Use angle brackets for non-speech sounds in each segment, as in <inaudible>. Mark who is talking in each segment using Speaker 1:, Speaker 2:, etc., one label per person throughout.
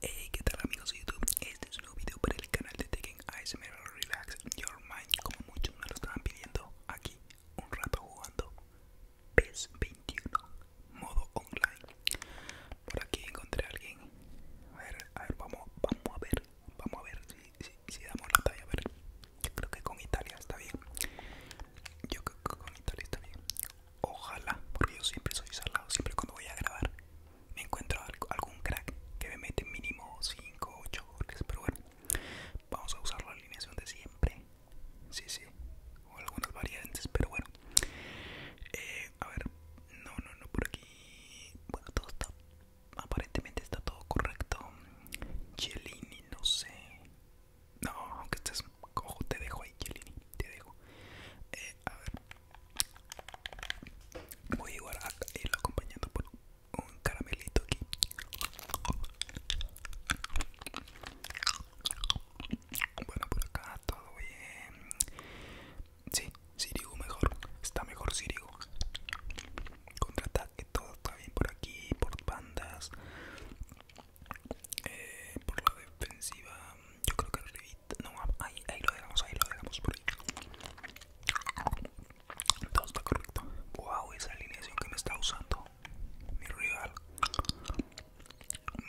Speaker 1: Hey, ¿qué tal amigos de YouTube? Este es un nuevo video para el canal de Taking Mirror Relax Your Mind Como muchos me lo estaban pidiendo aquí un rato jugando PES 21 modo online Por aquí encontré a alguien A ver, a ver, vamos, a ver, vamos a ver si, si, si damos la talla, a ver Yo creo que con Italia está bien Yo creo que con Italia está bien Ojalá, porque yo siempre soy salado, siempre cuando voy a grabar me encuentro algún crack que me mete mínimo 5 o 8 goles, pero bueno, vamos a usar la alineación de siempre, sí, sí, o algunas variantes, pero bueno, eh, a ver, no, no, no, por aquí, bueno, todo está, aparentemente está todo correcto, Chiellini, no sé, no, aunque estés, cojo, te dejo ahí, Chiellini, te dejo, eh, a ver. Voy igual a ir acompañando por un caramelito aquí. Bueno, por acá todo bien. Sí, Sirigu mejor. Está mejor Sirigu. Contraataque, todo está bien por aquí, por bandas. Eh, por la defensiva, yo creo que no, ahí, ahí lo dejamos, ahí lo dejamos por ahí. Todo está correcto. Wow, esa alineación que me está usando mi rival.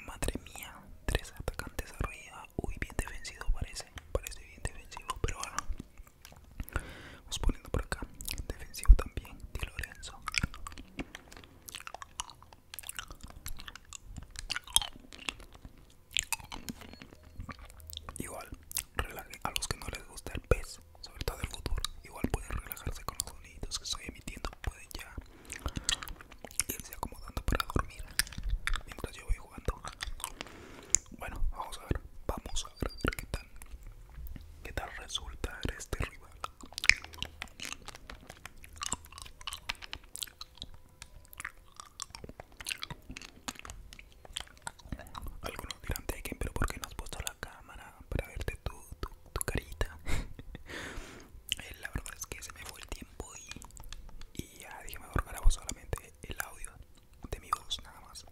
Speaker 1: Madre mía, tres atacantes arriba. Uy, bien defensivo parece. Parece bien defensivo, pero bueno. Vamos poniendo por acá. Defensivo también, Di Lorenzo. Igual, a los que no les gusta el pez, sobre todo el futuro igual pueden relajarse con los sonidos que estoy emitiendo, pueden ya irse acomodando para dormir mientras yo voy jugando. Bueno, vamos a ver, vamos a ver, qué tal, qué tal resulta este rival. Algunos dirán, Tekken, pero ¿por qué no has puesto la cámara para verte tu, carita? <laughs> Eh, la verdad es que se me fue el tiempo y, ya dije, mejor grabo solamente el audio de mi voz, nada más.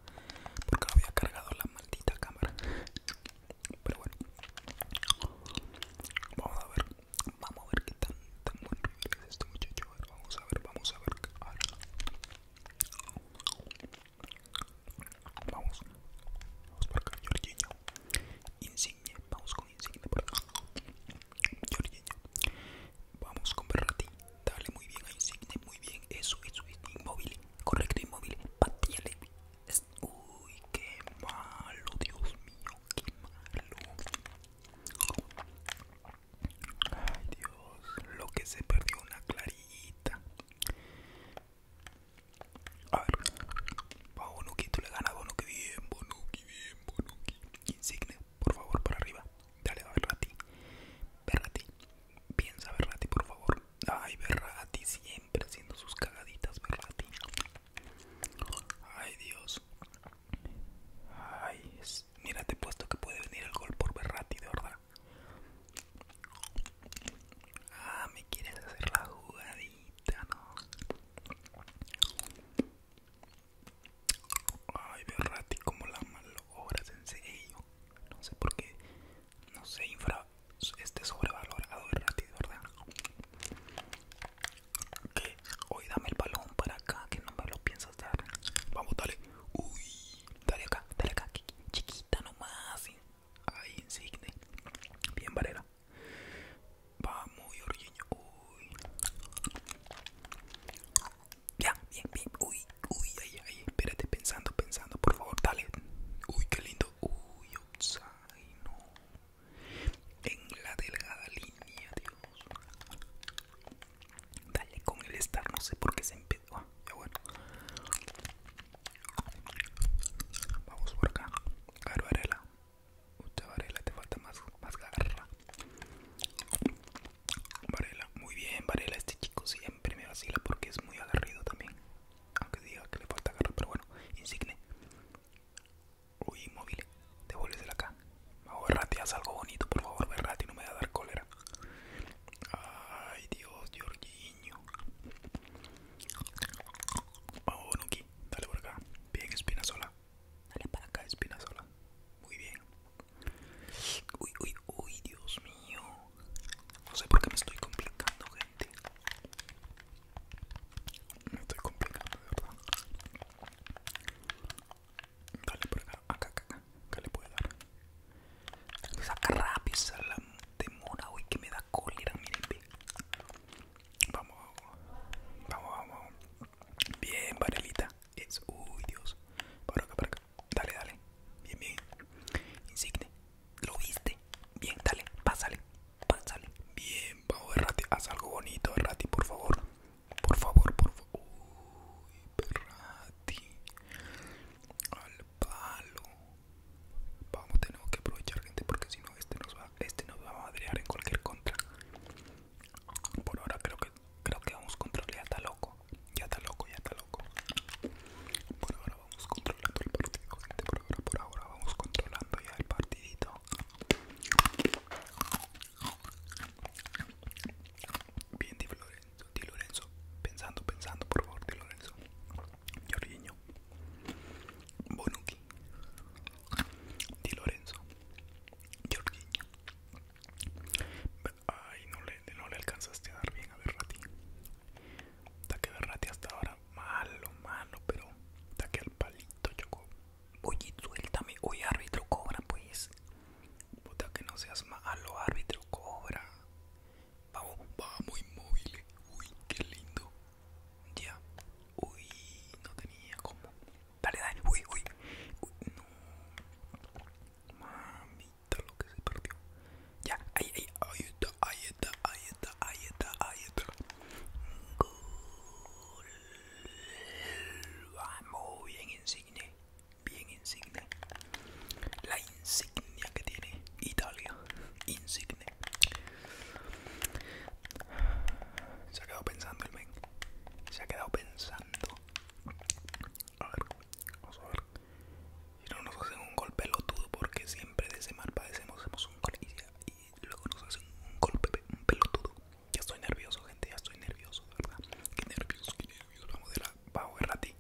Speaker 1: Porque había cargado la maldita cámara. <laughs> Pero bueno, vamos a ver. Vamos a ver qué tan, tan buen es este muchacho. vamos a ver, vamos a ver. Vamos. Vamos por acá, Jorgeño Insigne. Vamos con Insigne por acá. Jorgeño Vamos con ti Dale muy bien a Insigne. Muy bien. Eso, eso es inmóvil. Correcto, inmóvil. Patíale. Uy, qué malo, Dios mío. que malo. Ay Dios, lo que se perdió una clarita A ver, Bonuki, tú le ganas Bonuki, bien Bonuki, bien Bonuki. Insigne, por favor, para arriba. Dale a Berrati, Berrati, piensa Berrati, por favor. Ay, Berrati, siempre haciendo sus cagaditas, Berrati. Ay Dios. Ay, mira, te he puesto que puede venir el gol por Berrati, de verdad. Ah, me quieres hacer la jugadita, ¿no? Ay, Berrati, como la malogras, en serio. No sé por qué, no sé, Este sobrevalorado Berrati, de verdad. Hoy dame el balón para acá, que no me lo piensas dar. Vamos, dale. Uy, dale acá, dale acá. Chiquita nomás. Ahí, insigne. Bien, Varela. Vamos, Orgueño. Uy. Ya, bien, bien. Uy, uy, ay, ay. Espérate, pensando, pensando. Por favor, dale. Uy, qué lindo. Uy, no. En la delgada línea, Dios. Dale con el estar, no sé por qué se empezó. Ah, ya bueno. Vamos por acá. ver Varela. Varela, te falta más, más garra. Varela, muy bien, Varela. Este chico siempre me vacila porque es muy agarrido también. Aunque diga que le falta garra, pero bueno. Insigne. Uy, móvil devuélvesela acá. ver, rati, haz algo bonito, por favor, rati, no me va a dar cólera. Ay, Dios, Jorginho. Vamos, aquí, dale por acá. Bien, sola. Dale para acá, Espina sola. Muy bien. Uy, uy, uy, Dios mío. No sé por qué me estoy complicando, gente. Me estoy complicando, de verdad. Dale por acá, acá, acá, acá. le puede dar? Saca rápido esa la mona, uy, que me da cólera, miren. Vamos, vamos, vamos. Bien, varelita. Es, uy, Dios. Para acá, para acá. Dale, dale. Bien, bien. Insigne. ¿Lo viste? Bien, dale. Pásale. Pásale. Bien, vamos, Errati. Haz algo bonito, Errati, por favor. Por favor, por favor. Uy, Perrati. Al palo. Vamos, tener que aprovechar, gente, porque si no, este nos va, este nos va a madrear en cualquier contra. Por ahora creo que creo que vamos Ya está loco. Ya está loco, ya está loco. Por ahora vamos controlando el partido, gente. Por ahora, por ahora vamos controlando ya el partidito. Bien, Di Lorenzo, Di Lorenzo. Pensando, pensando, por favor, Di Lorenzo. Jorginho. Bonucci. Di Lorenzo. Jorginho. Ay, no le, no le alcanzaste a dar bien a Berrati. que Berrati hasta ahora. Malo, malo, pero que al palito chocó. Oye, suéltame. Oye, árbitro, cobra, pues. Puta, que no seas malo, árbitro, cobra. Vamos, vamos, inmóviles. Uy, qué lindo. Ya. Uy, no tenía como. Dale, dale. Uy, uy. Uy, no. Mamita, lo que se perdió. Ya, ahí, ahí, ahí está, ahí está, ahí está, ahí está, ahí está. Gol. bien, Insigne bien insignia. la insignia que tiene Italia insigne se ha quedado pensando el men se ha quedado pensando a ver vamos a ver si no nos hacen un golpe pelotudo porque siempre de ese mal padecemos hacemos un gol y, luego nos hacen un golpe un pelotudo ya estoy nervioso, gente, ya estoy nervioso, verdad. Qué nervioso, qué nervioso. Vamos de la vamos a rati.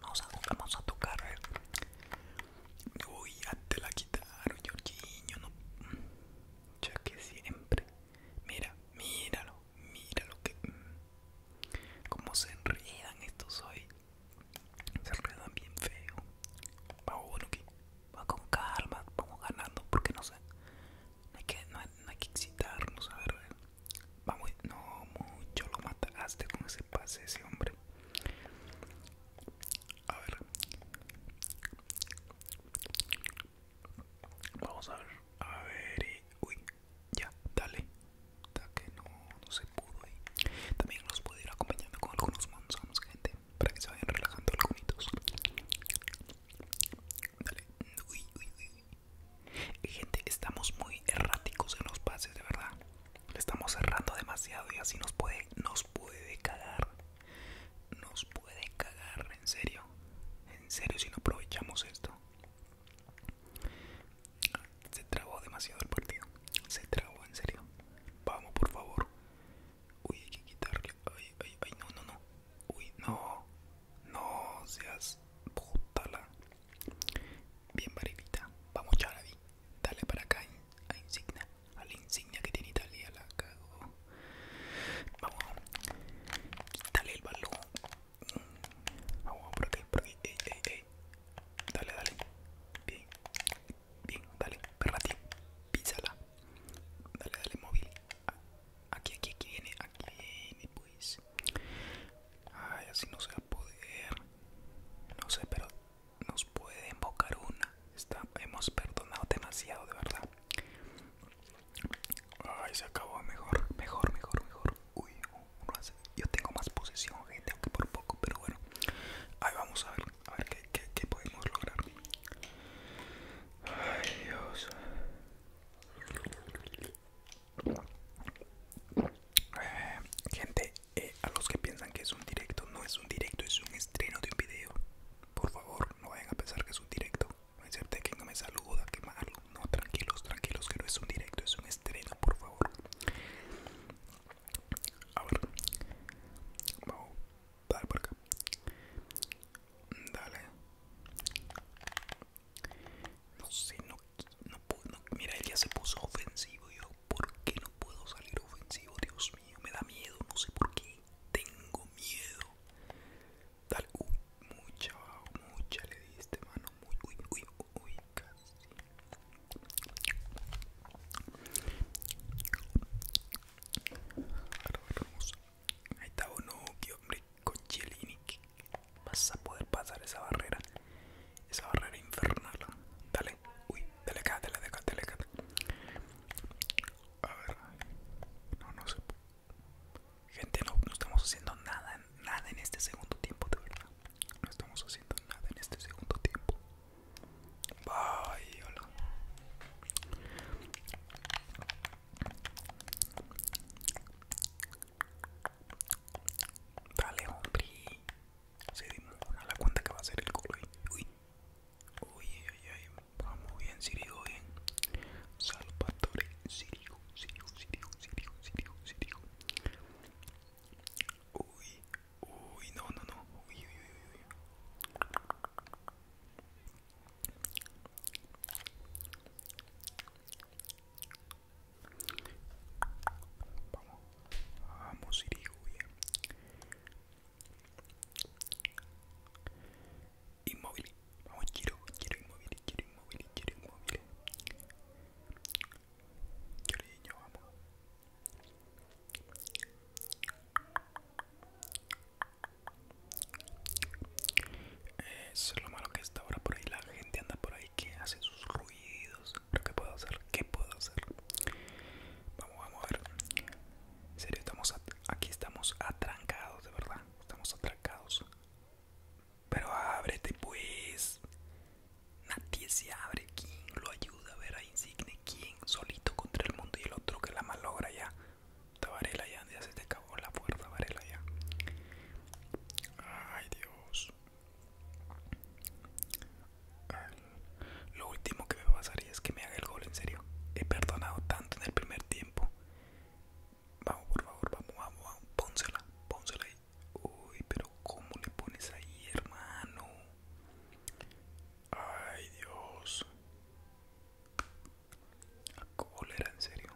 Speaker 1: Vamos a, vamos a tocar, a ver. Uy, ya te la quitaron, Jorginho, no. Ya que siempre. Mira, míralo, míralo que. Mm, cómo se enredan estos hoy. Se enredan bien feo. Vamos bueno que. vamos con calma, vamos ganando, porque no sé. No hay que, no hay, no hay que excitarnos, a ver, a ver vamos no, mucho lo mataste con ese pase ese hombre. A ver. Vamos a ver. A ver. uy, ya, dale. Da que no, no se pudo ahí. También los puedo ir acompañando con algunos manzanos, gente. Para que se vayan relajando algunos. Dale. Uy, uy, uy, gente, estamos muy erráticos en los pases, de verdad. Le estamos errando demasiado y así nos puede, nos puede cagar. Nos puede cagar, en serio. En serio, si no aprovechamos esto. Se trabó demasiado el partido. Se trabó, en serio. Vamos, por favor. Uy, hay que quitarle. Ay, ay, ay, no, no, no. Uy, no. No seas la, Bien, Marivita. Vamos, Charavi. Dale para acá a Insignia. A la Insignia que tiene Italia. La cago. Vamos. Quítale el balón. Vamos, por aquí, por aquí. Dale, dale. Bien. Bien, dale. tiene Písala. Dale, dale, móvil. Aquí, aquí, aquí viene, aquí viene, pues. Ay, así no se va a poder. No sé, pero nos puede invocar una. Está, hemos perdonado demasiado, de verdad. Ay, se acabó. Mejor, mejor, mejor, mejor. Uy, Yo tengo más posesión, gente, aunque por poco, pero bueno. Ahí vamos a ver, a ver qué, qué podemos lograr. Ay, Dios. Gente, eh, a los que piensan que es un directo, no es un directo, es un estreno de un video. Por favor, no vayan a pensar que es un directo. No cierto que no me saluda, que malo. No, tranquilos, tranquilos, que no es un directo, es un estreno, por favor. A vamos a por acá. Dale. No sé, no, puedo. mira, él ya se puso ofensivo. Yo, ¿por qué no puedo salir ofensivo? Dios mío, me da miedo. No sé por qué. Tengo miedo. tal mucha, mucha le di este mano. Muy, uy, uy, uy, casi. Ahí está que hombre, con chelini Vas a poder pasar esa barrera, esa barrera infernal. Dale, uy, dale acá, dale acá, A ver, no, no sé. Gente, no, no estamos haciendo nada, nada en este segundo tiempo, de verdad. No estamos haciendo nada en este segundo tiempo. Bye, hola. Dale, hombre. Se a la cuenta que va a ser el gol. Uy. Uy, ay, ay. Vamos bien, Sirigo, bien. Salvatore, Sirigo, Sirigo, Sirigo, Sirigo, Sirigo, Sirigo. Uy, uy, no, no, no. uy, uy, uy. Vamos, vamos, bien Inmóvil, vamos, quiero, quiero inmóvil, quiero inmóvil, quiero inmóvil. Cariño, vamos es lo malo que está ahora por ahí. La gente anda por ahí que hace sus ruidos. lo qué puedo hacer? ¿Qué puedo hacer? Vamos, vamos a ver. En serio, estamos aquí estamos atrancados, de verdad. Estamos atrancados. Pero ábrete, pues. Nadie se abre. ¿Quién lo ayuda a ver a Insigne? ¿Quién? Solito contra el mundo y el otro que la malogra ya. Tabarela ya, ya se te o la puerta Varela ya. Ay Dios. lo último que me pasaría es que me haga el gol, en serio. He perdonado tanto en el primer tiempo. Vamos, por favor, vamos, vamos, vamos. Pónsela, pónsela ahí. Uy, pero ¿cómo le pones ahí, hermano? Ay, Dios. La cólera, en serio.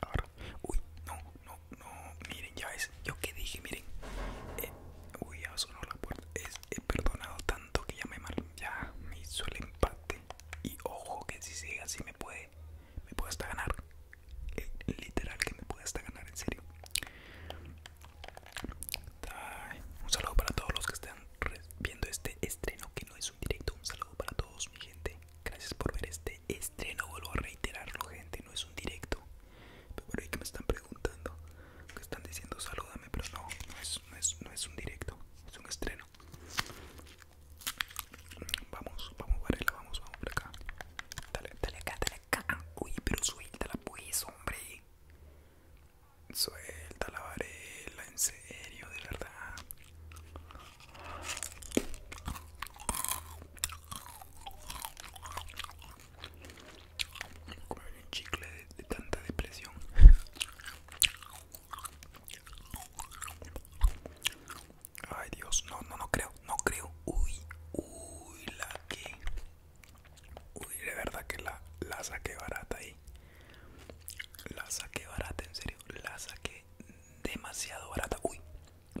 Speaker 1: Ahora, uy, no, no, no, miren, ya es, yo que dije, miren, eh, uy, ya sonó la puerta, he perdonado tanto que ya me, mal, ya me hizo el empate y ojo que si sigue así me puede, me puede hasta ganar, eh, literal que me puede hasta ganar, en serio. Un saludo para todos los que están viendo este estreno no es un directo. Un saludo para todos, mi gente. Gracias por ver este estreno. Vuelvo a reiterarlo, gente. No es un directo. Pero hay que me están preguntando. Que están diciendo salúdame. Pero no, no es, no, es, un directo. Es un estreno. Vamos, vamos, Varela. Vamos, vamos acá. Dale, dale acá, dale acá. Uy, pero suéltala, pues, hombre. Suelta la varela, en serio, de verdad un chicle de, tanta depresión. Ay Dios, no, no, no creo, no creo. Uy, uy, la que. Uy, de verdad que la, la saqué barata ahí. La saqué barata, en serio, la saqué demasiado barata. Uy,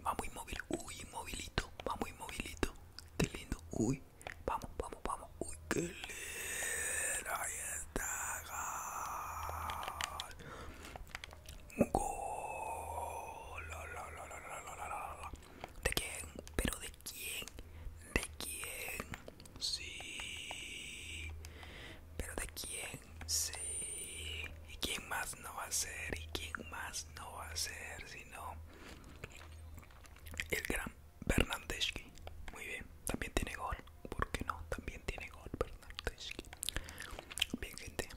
Speaker 1: vamos inmóvil Uy, movilito. vamos muy movilito. Qué lindo. Uy, vamos, vamos, vamos. Uy, qué lindo. Ahí está. de quién? ¿De quién? Sí. ¿Pero de quién? Sí. ¿Y quién más no va a ser? ¿Y quién más no va a ser? Sino el gran Bernardeschi. Muy bien. También tiene gol. ¿Por qué no? También tiene gol Bernardeschi. Bien, gente.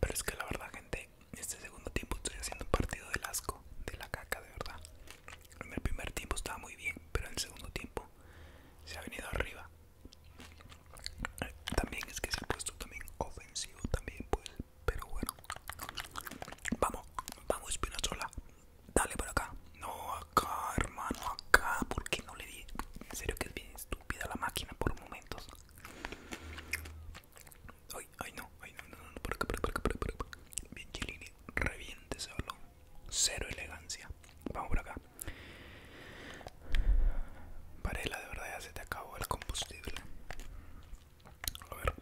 Speaker 1: Pero es que la verdad, gente, este segundo tiempo estoy haciendo un partido del asco, de la caca, de verdad. En el primer tiempo estaba muy bien, pero en el segundo tiempo se ha venido arriba. También es que se ha puesto también ofensivo también, pues, pero bueno. Vamos, vamos Espinazola. Dale por acá. No, acá, hermano, acá. porque no le di? En serio que es bien estúpida la máquina por momentos. Ay, ay no, ay no, no, no, por acá, por acá, por acá, por acá. Bien, Chilini, reviente ese balón. Cero elegancia. Vamos por acá. Varela, de verdad ya se te acabó el combustible. A ver.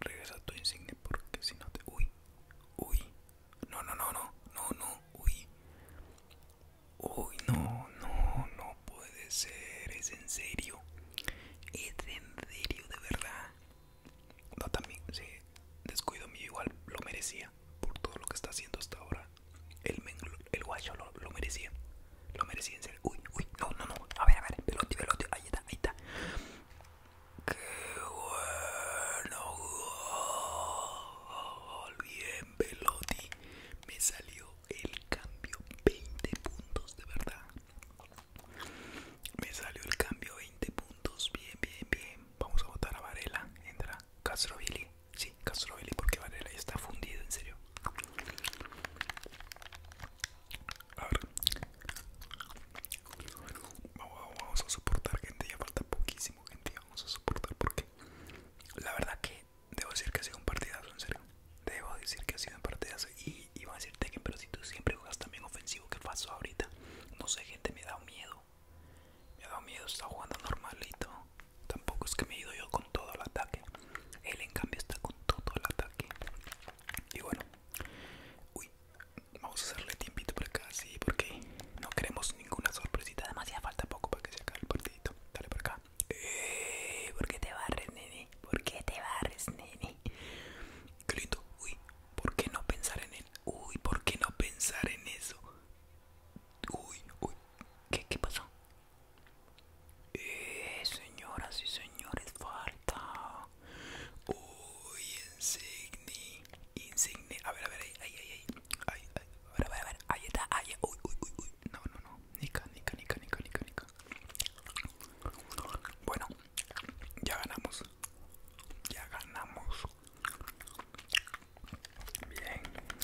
Speaker 1: Regresa tu insignia porque si no te... Uy. Uy. No, no, no, no. No, no. Uy. Uy, no, no, no puede ser. Es en serio. Es en serio, de verdad. No, también, sí, descuido mío igual lo merecía por todo lo que está haciendo hasta ahora. El, el guacho lo, merecía. Lo merecía en serio. Uy, uy, no, no, no. A ver, a ver, Veloti, Veloti, Ahí está, ahí está. Qué bueno. Bien, Veloti, Me salió el cambio. 20 puntos, de verdad. Me salió el cambio 20 puntos. Bien, bien, bien vamos a votar a Varela. Entra Castrovilli. Sí, Castrovilli porque Varela ya está fundido, en serio. Vamos, a soportar, gente. Ya falta poquísimo, gente. Vamos a soportar porque la verdad que debo decir que ha sido un partidazo, en serio. Debo decir que ha sido un partidazo. Y iba a decirte que pero si tú siempre juegas también ofensivo, que pasó ahorita? No sé, gente, me da miedo. Me ha dado miedo, está jugando normalito. Tampoco es que me he ido yo con todo el ataque. Él en cambio está con todo el ataque. Y bueno. Uy, vamos a hacerle tiempito por acá, sí, porque no queremos ninguna sorpresita. Además ya falta poco para que se acabe el partidito. Dale por acá. Eh, ¿Por qué te barres, nene? ¿Por qué te barres, nene? Qué lindo. Uy, ¿Por qué no pensar en él? Uy, ¿por qué no pensar en eso? Uy, uy, ¿qué, qué pasó? Eh, señoras y señores, falta. Uy, insigni insigne. A ver, a ver, ahí, ahí, ahí. ahí, A ver, a ver, ahí está, Uy, uy, uy, uy. No, no, no. Nica, nica, nica, nica, nica, nica. Bueno, ya ganamos. Ya ganamos. Bien,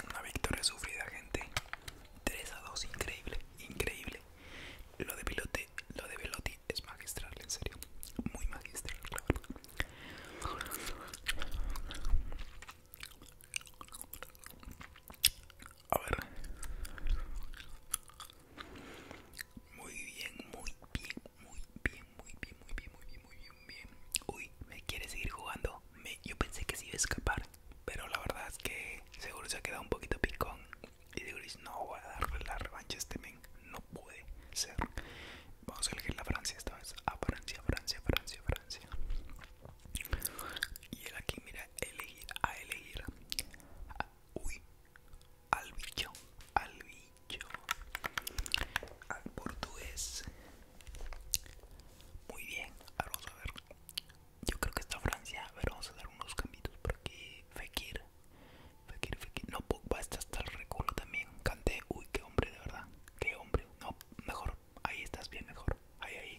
Speaker 1: una victoria sufrida, gente. 3 a 2, increíble, increíble. Lo de Pilote, lo de Velotti es magistral, en serio. Muy magistral, claro A ver. Muy bien, muy bien, muy bien, muy bien, muy bien, muy bien, muy bien, muy bien. Uy, me quiere seguir jugando. Me, yo pensé que sí iba a escapar, pero la verdad es que seguro se ha quedado un poquito picón. Y digo, no voy a darle la revancha este men. No puede ser. Vamos a elegir la Francia esta vez. A Francia, Francia, Francia, Francia. Y él aquí, mira, elegir, a elegir. Uy, al bicho, al al portugués. Muy bien, ahora vamos a ver. Yo creo que está Francia. A ver, vamos a dar unos cambios por aquí. Fekir, Fekir, Fekir. No, Pogba está hasta el reculo también. Canté, uy, qué hombre, de verdad. Qué hombre. No, mejor. Ahí estás bien, mejor. Ahí, ahí.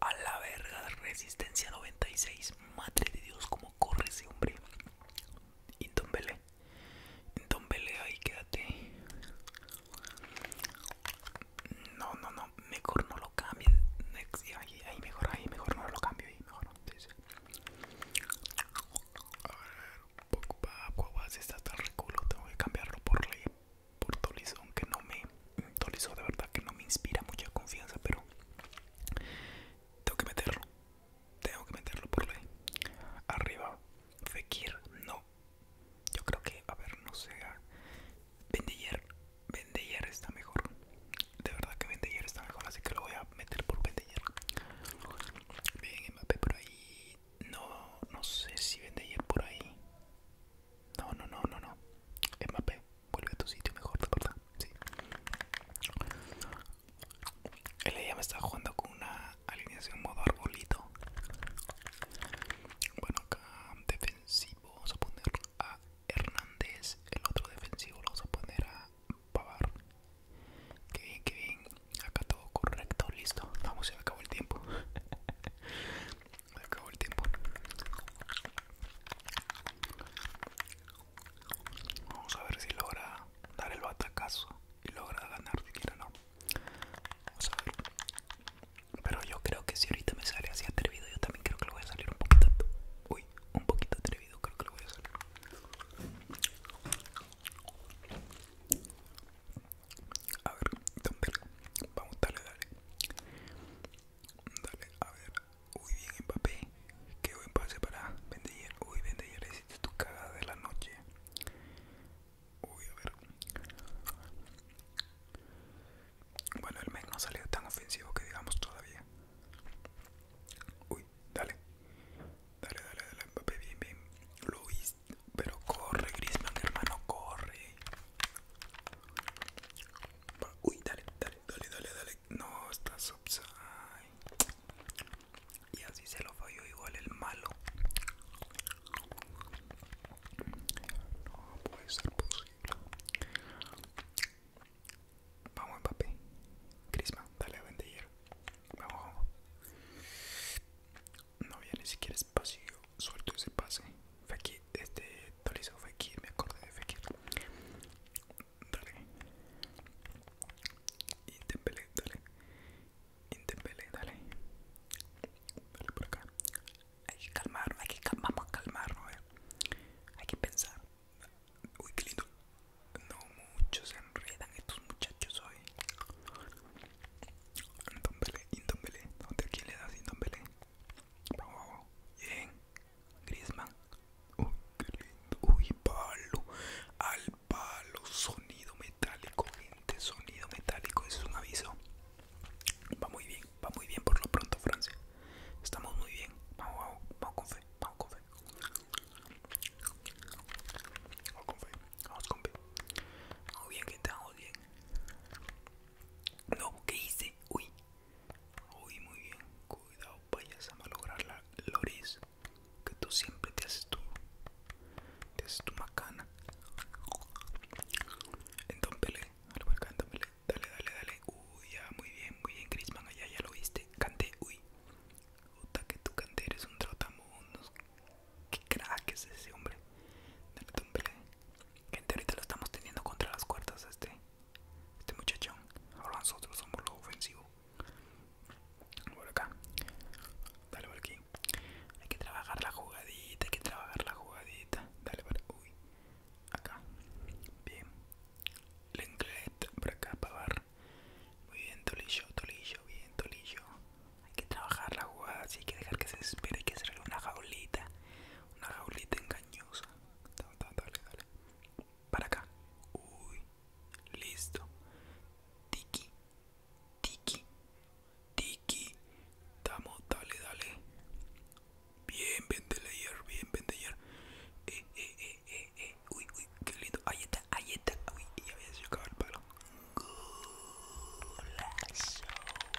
Speaker 1: A la verga, resistencia 96. Madre de Dios, cómo corre ese hombre. Intombele. Entonces vele y quédate. No, no, no, mejor no lo cambies. Ahí, mejor, ahí mejor no lo cambio, y mejor no. A ver, un poco para si está tan reculo, tengo que cambiarlo por ley, por Tolizo, aunque no me. Tolizo de verdad que no me inspira mucha confianza, pero tengo que meterlo tengo que meterlo por ley. Arriba, Fekir, no. Yo creo que, a ver, no sé. Bendiller, ah, Bendiller está mejor. De verdad que Bendiller está mejor, así que lo voy a meter por Bendiller. Bien, MAP por ahí. No, no sé si Bendiller por ahí. No, no, no, no, no. MAP vuelve a tu sitio mejor, de verdad. Sí. Él ya me está jugando con una alineación modo arbolito. Bueno, acá defensivo vamos a poner a Hernández. El otro defensivo lo vamos a poner a Pavar. Que bien, que bien. Acá todo correcto, listo. Vamos, se me acabó el tiempo. <laughs> se acabó el tiempo. Vamos a ver si logra dar el batacazo y logra ganar siquiera no. Vamos a ver. Pero yo creo que si ahorita me sale así atrevido, yo también creo que lo voy a salir un poquito. Uy, un poquito atrevido, creo que lo voy a salir. A ver, vamos, dale, dale. Dale, a ver. Uy, bien, empapé, Qué buen pase para Bendiller. Uy, Bendiller, hiciste tu cagada de la noche. Uy, a ver. Bueno, el mes no salió tan ofensivo que digamos todavía. Uy, dale. Dale, dale, dale, Mbappé, bien, bien. Luis, pero corre, Grisman, hermano, corre. Uy, dale, dale, dale, dale, dale. No, está subside y así se lo falló igual el malo no puede ser posible vamos papi. Crisma dale a vamos, vamos no había ni siquiera espacio suelto ese pase Fekir este fue aquí, me acordé de Fekir dale y dale Intempele, dale. Dale por acá. Hay que calmarnos, hay que vamos a calmarnos, eh. Hay que pensar. Uy, qué lindo. No muchos se enredan estos muchachos hoy. Intempele, Intempele. ¿Dónde quién le das Intempele? Oh, bien. Griezmann. Uy, qué lindo. Uy, palo. Al palo, sonido metálico, gente, sonido metálico, eso es un aviso. Va muy bien, va muy bien por lo pronto Francia. Estamos muy bien. Vamos, vamos, vamos con fe, vamos con fe. Vamos con fe, vamos con fe. Vamos bien, gente, vamos bien. No, ¿qué hice? Uy. Uy, muy bien. Cuidado, vayas a malograr la Loris que tú siempre te haces tu, te haces tu macana. Entonces, algo dale, dale, dale. Uy, ya, muy bien, muy bien, Crisman, allá ya lo viste. Canté, uy. Puta que tú canté, eres un trotamundos. Qué crack es ese hombre. Dale, Pele, Gente, ahorita lo estamos teniendo contra las cuerdas este, este muchachón. Ahora nosotros somos lo ofensivo. Por acá. Dale por aquí. Hay que trabajar la jugadita, hay que trabajar la jugadita. Dale para. Uy. Acá. Bien. Lenglet para acá para bar. Muy bien, Tolillo, Tolillo, bien, Tolillo. Hay que trabajar la jugada, sí, hay que dejar que se espere, hay que hacerle una jaulita. Una jaulita engañosa. dale, dale. Para acá. Uy. Listo. Tiki. Tiki. Tiki. Tamo, dale, dale. Bien, ayer, bien, Bendelayer. Eh, eh, eh, eh, eh. Uy, uy, qué lindo. Ahí está, ahí está. Uy, ya había el palo. Golazo.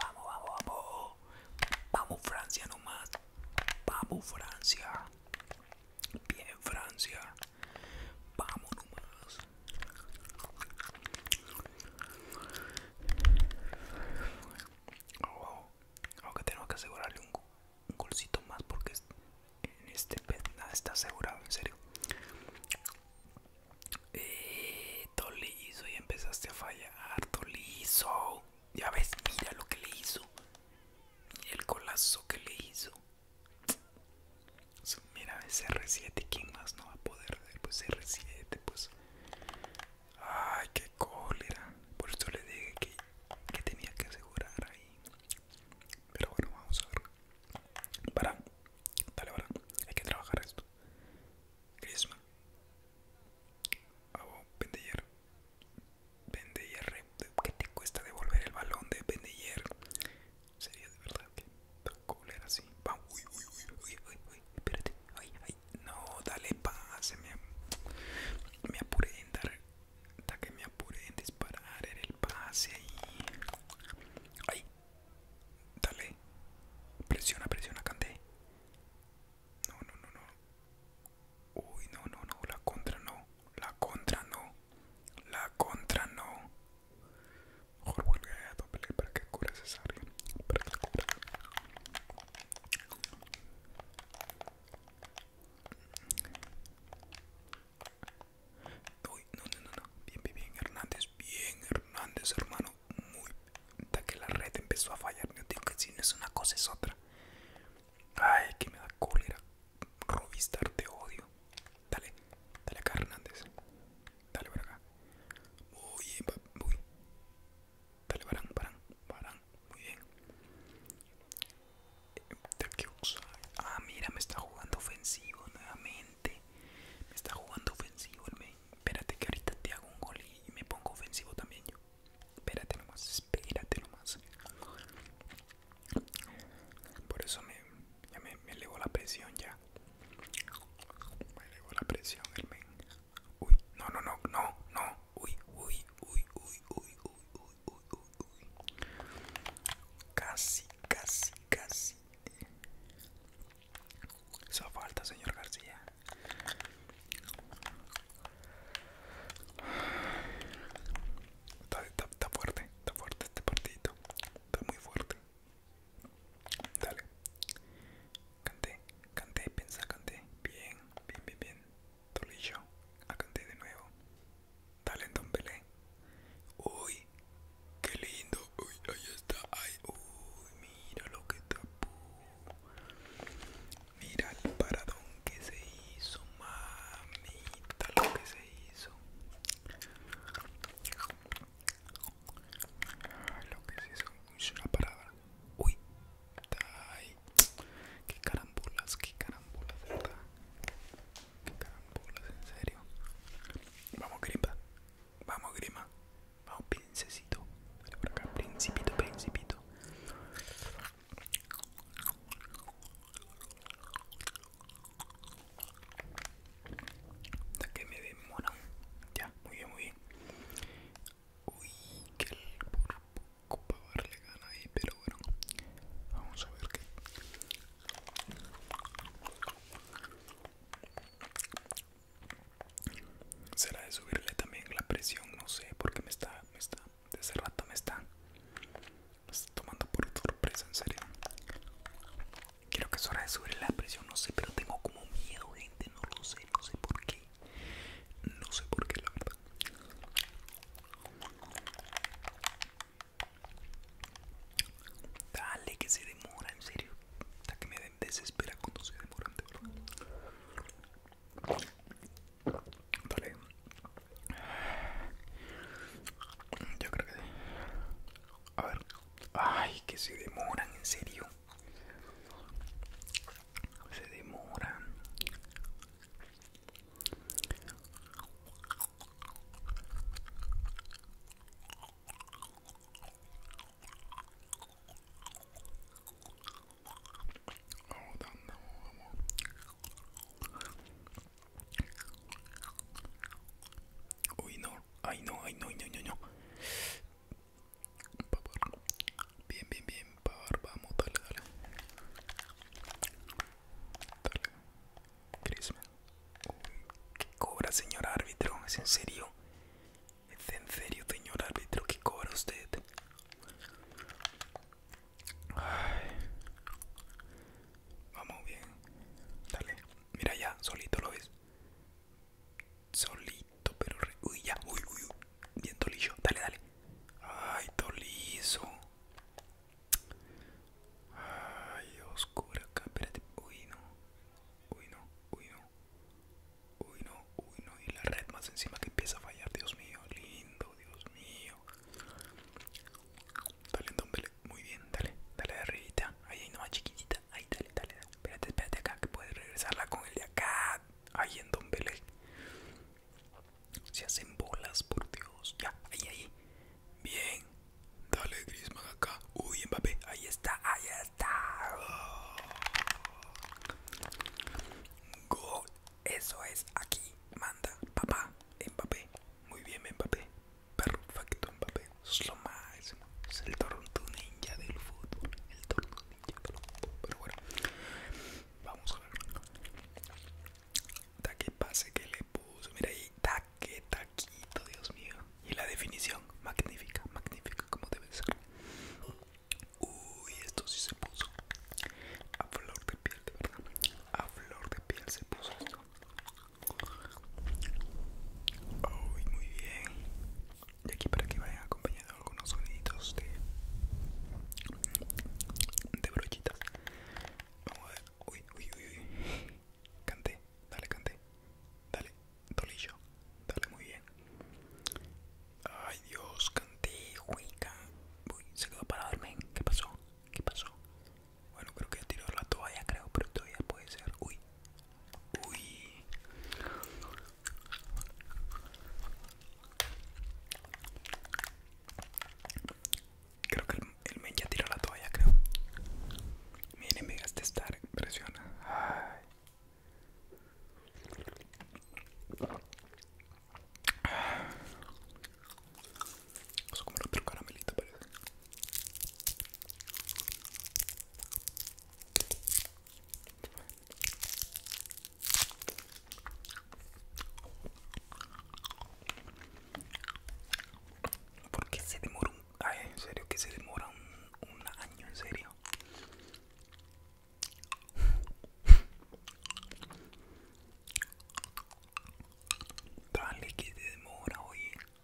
Speaker 1: Vamos, vamos, vamos. Vamos, Francia, nomás. Vamos, Francia. Bien, Francia. Vamos nomás aunque tengo que asegurarle un, golcito más porque en este nada está asegurado, en serio. Eh, le hizo y empezaste a fallar, le hizo Ya ves, mira lo que le hizo. el colazo que le hizo. Mira, ese R7, ¿quién más no va a poder? Pues R7, pues... Ay, qué cólera. Por eso le dije que, tenía que asegurar ahí. Pero bueno, vamos a ver. Para, dale, para. Hay que trabajar esto. Griezmann. Abo, Pendejer. Pendejer, ¿qué te cuesta devolver el balón de Pendejer. Sería de verdad que tan cool así. uy, uy, uy, uy, uy, espérate. Ay, ay, no, dale pase. Me, apure en dar. Ta que me apuré en disparar el pase ahí. Ay, dale. Presiona, presiona, cante. No, no, no, no. Uy, no, no, no. La contra no. La contra no. La contra no. Mejor vuelve a doble para que cure cesárea. Para que cure. Uy, no, no, no, Bien, bien, bien, Hernández. Bien, Hernández, hermano. Muy. Hasta que la red empezó a fallar. no, tío, que si no es una cosa, es otra. Ay, que me da cólera. Robistar, te odio. Dale, dale acá, Hernández. Dale para acá. Muy bien, Dale, para, paran, paran. Muy bien. Ah, mira, me está jugando ofensivo nuevamente. Me está jugando ofensivo Espérate que ahorita te hago un gol y me pongo ofensivo también Espérate nomás, espérate nomás. Por eso me, ya me, me la presión ya. Me llevo la presión el men. Uy, no, no, no, no, no. Uy, uy, uy, uy, uy, uy, uy, uy, uy. Casi, casi, casi. Esa falta, señor García. Está, está fuerte, está fuerte este partido. Está muy fuerte. Dale. Canté, canté, piensa, canté. Bien, bien, bien, bien. Tolillo, a canté de nuevo. Dale, don Uy, qué lindo. Uy, ahí está. Ay, uy, mira lo que tapó. Mira el paradón que se hizo, mamita, lo que se hizo. Ah, lo que sí es una parada. Uy, ahí. qué carambolas, qué carambolas verdad. Qué carambulas en serio. Vamos, grima, vamos, grima, vamos, princesito. Ven por acá, principito, principito. Hasta que me demoran. Ya, muy bien, muy bien. Uy, que el poco para darle gana ahí, pero bueno. Vamos a ver qué. Será de subirle también la presión, no sé, porque me está, me está, desde rato me está, me está tomando por sorpresa, en serio. Quiero que es hora de subir la presión, no sé, pero tengo como miedo, gente, no lo sé, no sé por qué. No sé por qué, la verdad. Dale, que se demora, en serio. Hasta que me desespera cuando se demora, Dale. Yo creo que... A ver. Ay, que se demoran, en serio. Se demoran. Oh, no, ay, no, ay, no, no, no, no bien, bien, bien, por vamos, dale, dale. Dale. ¿qué cobra, señor árbitro? ¿Es en serio? ¿Es en serio, señor árbitro? ¿Qué cobra usted? Vamos bien. Dale. Mira ya, solito lo ves. Solito, pero Uy, ya, uy, uy, uy. Bien tolillo, dale, dale. Ay, tolizo. Ay, oscura acá, espérate. Uy, no. Uy, no, uy, no. Uy, no, uy, no. Y la red más encima que empieza a fallar, Dios mío. Lindo, Dios mío. Dale, entonces, muy bien, dale, dale de arribita. Ahí, una más chiquitita. Ahí, dale, dale, Espérate, espérate acá que puedes regresarla con el de acá. Ahí en Don le Se hacen bolas, por Dios. Ya, ahí, ahí. Bien. Dale, Griezmann, acá. Uy, Mbappé. Ahí está, ahí está. Eso es. Aquí. Manda. Papá. Mbappé. Muy bien, Mbappé. Perfecto, Mbappé es lo máximo. Es el tortu Ninja del fútbol. El Toronto Ninja del fútbol. Pero bueno, vamos a ver. Taque pase que le puso. Mira ahí, taque, taquito, Dios mío. Y la definición, magnífica, magnífica, como debe ser. Uy, esto sí se puso. A flor de piel, de verdad. A flor de piel se puso esto. muy bien. Y aquí para que vayan acompañando algunos soniditos de, de brochita. Vamos a ver. Uy, uy, uy, Canté, dale, canté. Dale, dolillo. Dale, muy bien. Ay, Dios, canté, huica. Uy, se quedó para dormir, ¿Qué pasó? ¿Qué pasó? Bueno, creo que tiró la toalla, creo, pero todavía puede ser. Uy, Uy. Creo que el, el men ya tiró la toalla, creo. Miren, me gasté estar, presiona. Ay. Vamos a comer otro caramelito, parece. Porque se demora un... Ay, en serio, que se demora un, año, en serio. Dale que te demora, oye.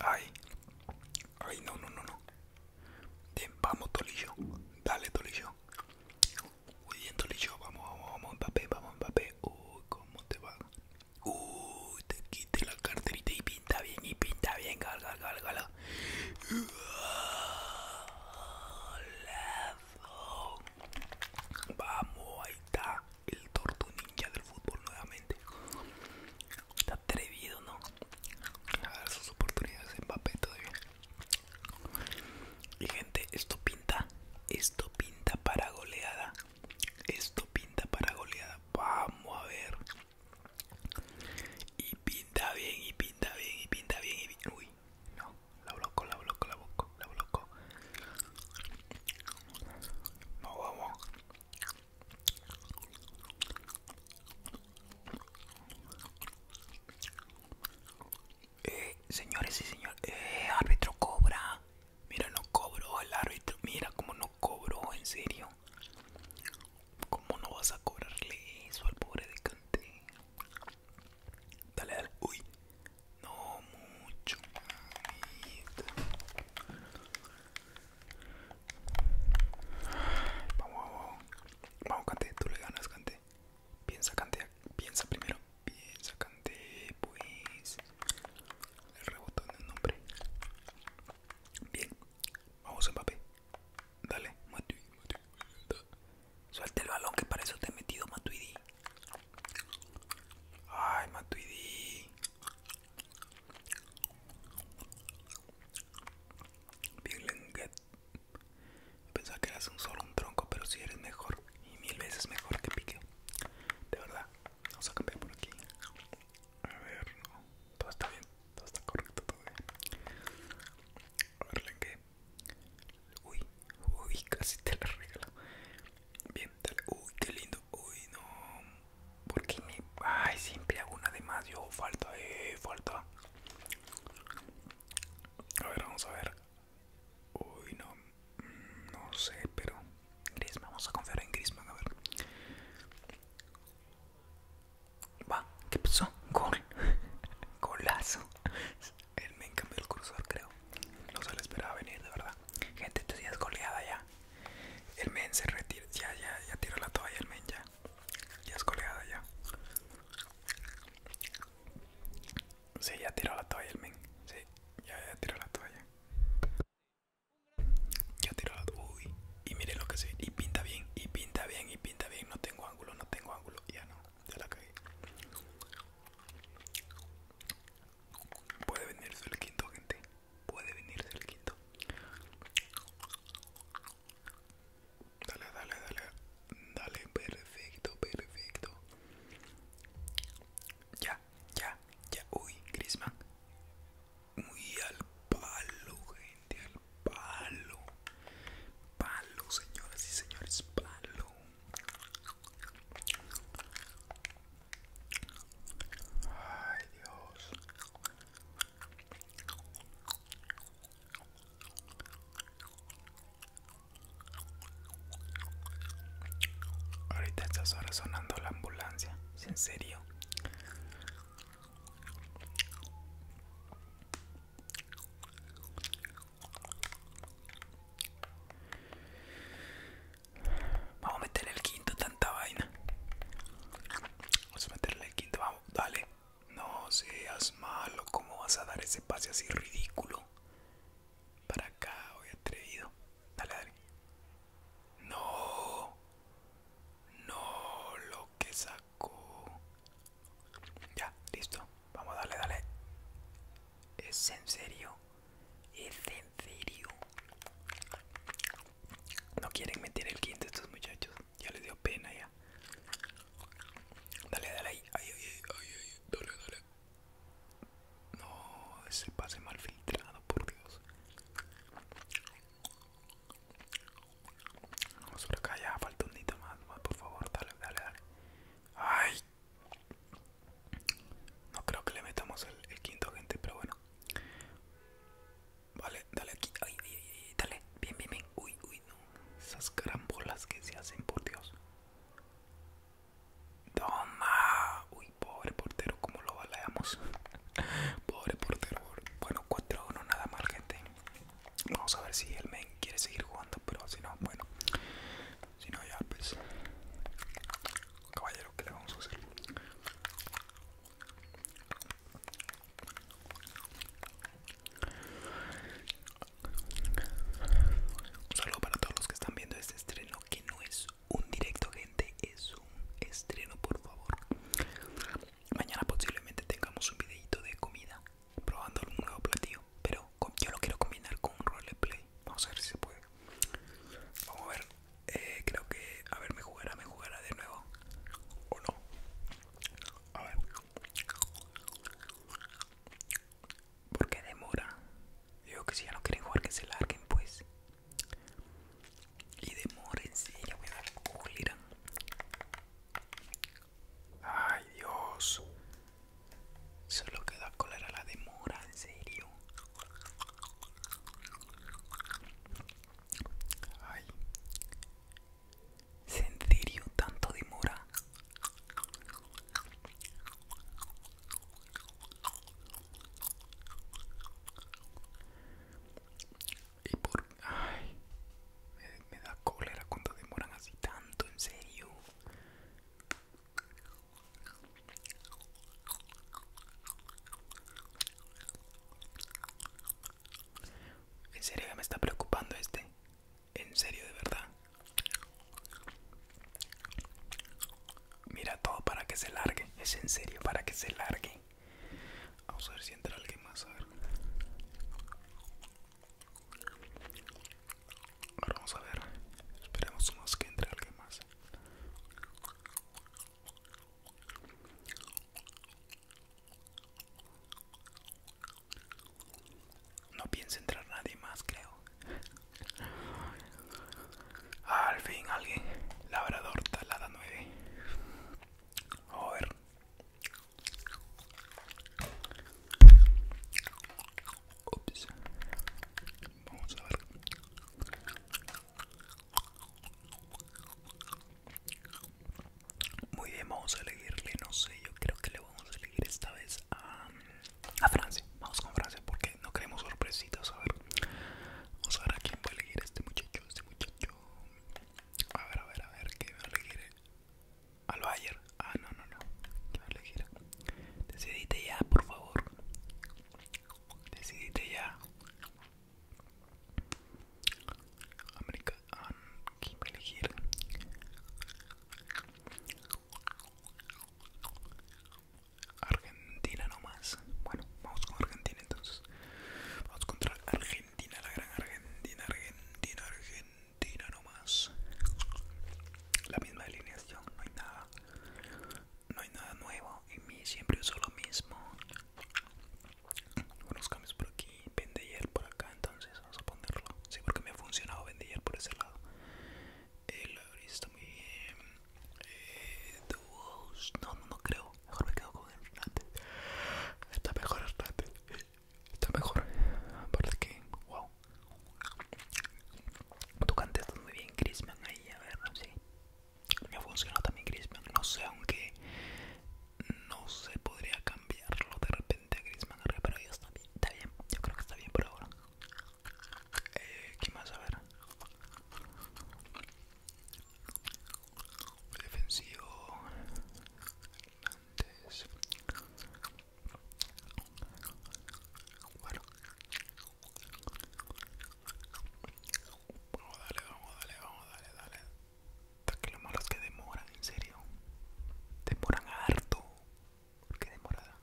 Speaker 1: Ay, ay, no, no, no, no. vamos, Tolillo. Dale, Tolillo. Muy bien, Vamos, vamos, vamos, papel, vamos, papel, Uy, ¿cómo te va? Uy, te quite la carterita y pinta bien, y pinta bien. galga gal, Vamos, ahí está el torto ninja del fútbol nuevamente. Está atrevido, ¿no? A ver sus oportunidades en papel todavía. Y gente, esto pinta. Esto pinta para goleada. Esto pinta para goleada. Vamos a ver. Y pinta bien, y pinta bien, y pinta bien, y bien. Uy, no, la bloco, la bloco, la bloco, la bloco. No vamos. Eh, señores y señores, eh, árbitro cobra. Mira, no cobró el árbitro. Mira cómo no cobró, en serio. ¿Cómo no vas a cobrarle eso al pobre de Dale, dale. Uy, no mucho. Vamos, vamos. Cante, tú le ganas, Cante. Piensa, Cante, piensa primero. Piensa, Cante, pues. El rebotó en el nombre. Bien, vamos, Mbappé. Dale, Matuidi, Matuidi. Suelta el balón que para eso te he metido, Matuidi. Ay, Matuidi. Bien Lenguet Pensaba que eras solo un tronco Pero si eres mejor Y mil veces mejor que Pique De verdad Vamos a cambiar por aquí A ver no. Todo está bien Todo está correcto todo bien. A ver Lenguet Uy Uy casi te la regalo Bien dale Uy qué lindo Uy, no. Porque me... Ay, siempre hago una de más. Yo falta, eh, falta. A ver, vamos a ver. Uy, no. Mm, no sé, pero... Grisman, vamos a confiar en Grisman, a ver. Va, ¿qué pasó? Gol. <laughs> Golazo. Él me encambió el cursor, creo. No se le esperaba venir, de verdad. Gente, te días goleada ya. El men se retira. Ya, ya, ya tiró la toalla el men ya. Ya es coleada ya. Sí, ya tiró la toalla el men. Sí, ya, ya tiró la toalla. Ya tiró la toalla. Uy, y miren lo que se... Y pinta bien, y pinta bien, y pinta bien. No tengo ángulo, no tengo ángulo. Ya no, ya la caí Puede venir el quinto, gente puede venir del quinto. Dale, dale, dale. Dale, perfecto, perfecto. Ya, ya, ya. Uy, Grisman. Muy al palo, gente, al palo. Palo, señoras y señores, palo. Ay, Dios. Ahorita estás estas sonando la ambulancia, en serio? Vamos a meter el quinto tanta vaina. Vamos a meterle el quinto, vamos, dale. No seas malo, ¿cómo vas a dar ese pase así ridículo? Para acá, hoy atrevido. Dale, dale. No, no, lo que sacó. Ya, listo. Vamos, dale, dale. ¿Es en serio? ¿Es en serio? No quieren meter el quinto estos muchachos. Ya le dio pena ya. Dale, dale ahí. Ay, ay, ay, dale, dale. No, ese pase mal filtrado, por Dios. Vamos por acá ya, falta un nito más, por favor, dale, dale, dale. Ay. No creo que le metamos el, el quinto gente, pero bueno. Vale, dale aquí. Ay, dale. Bien, bien, bien. Uy, uy, no. Esas carambolas que se hacen, por Dios. Toma. Uy, pobre portero, como lo baleamos? <laughs> pobre portero. Bueno, 4-1 nada mal, gente. Vamos a ver si el men quiere seguir jugando, pero si no, bueno. Si no, ya, pues... Caballero, ¿qué le vamos a hacer? Un saludo para todos los que están viendo este estreno que no es un directo gente, es un estreno por favor. Mañana posiblemente tengamos un videito de comida, probando un nuevo platillo, pero yo lo quiero combinar con un roleplay. Vamos a ver si se puede. Vamos a ver, eh, creo que, a ver, me jugará, me jugará de nuevo. ¿O no? A ver. ¿Por qué demora? Digo que si ya no quieren jugar, que se larguen, pues. Y en ya voy a cólera Ay, Dios. Solo da cólera, la demora, en serio. Ay. ¿En serio tanto demora? Y por... Ay. Me, me da cólera cuando demoran así tanto, en serio. En serio que me está preocupando este. En serio, de verdad. Mira todo para que se largue. Es en serio para que se largue. Vamos a ver si entra alguien más. A ver. Ahora vamos a ver. Esperemos unos que entre alguien más. No piensa entrar nadie más, creo. al fin, alguien. Labrador, talada 9. ver. Vamos a ver. Muy bien, vamos a elegirle, no sé, yo creo que le vamos a elegir esta vez a, a Francia. Vamos con Francia porque no queremos sorpresitas, a ver. Vamos a ver a quién puede elegir este muchacho, este muchacho. A ver, a ver, a ver, ¿qué va a elegir? Al Bayer. Ah, no, no, no. ¿Qué va a elegir? Decidite ya, por favor. Decidite ya. América, va a elegir. Argentina nomás. Bueno, vamos con Argentina entonces. Vamos contra Argentina, la gran Argentina, Argentina, Argentina nomás. La misma alineación, no hay nada. No hay nada nuevo. Y mi siempre uso lo mismo unos cambios por aquí, Vendier por acá, entonces vamos a ponerlo. Sí, porque me ha funcionado Vendier por ese lado. El está muy bien. Eh, duos, no, no, no creo. Mejor me quedo con el antes Está mejor antes, Está mejor. Aparte que, wow. Tú cantas muy bien, Crisman. Ahí, a ver, sí. Me ha funcionado también Crisman. No sé, aunque no sé, podría cambiarlo de repente a Griezmann R, pero está bien, Está bien, yo creo que está bien por ahora. Eh, ¿Qué más? A ver. Defensivo. Antes. Bueno. Vamos, dale, vamos, dale, vamos, dale, dale que lo malo es que demoran, en serio. Demoran harto. Porque demorada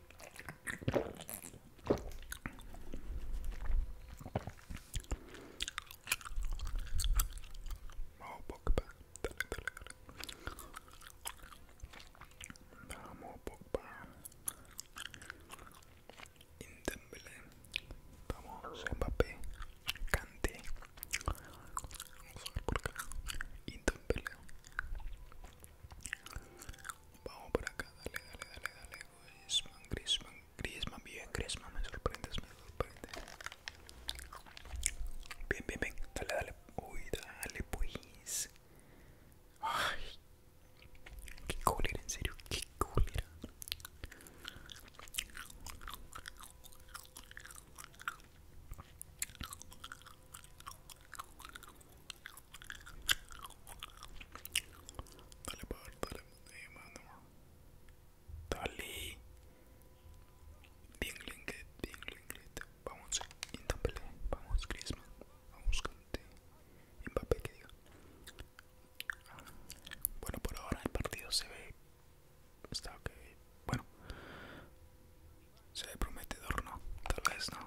Speaker 1: Vamos Pogba, dale, dale, dale. Vamos Pogba. Vamos Mbappé. Cante. Vamos Vamos por acá, dale, dale, dale, dale. Griezmann, Griezmann, Griezmann, bien, Griezmann, me sorprendes, me sorprendes. Bien, bien, bien, dale, dale, uy, dale, pues. Ay, qué cólera, en serio, qué cólera. Dale, power, dale. Eh, dale. Bien, bien, Vamos, vamos, Crisma, Vamos, que diga. Bueno, por ahora el partido se ve. Está ok. Bueno, se ve prometedor, no. Tal vez no.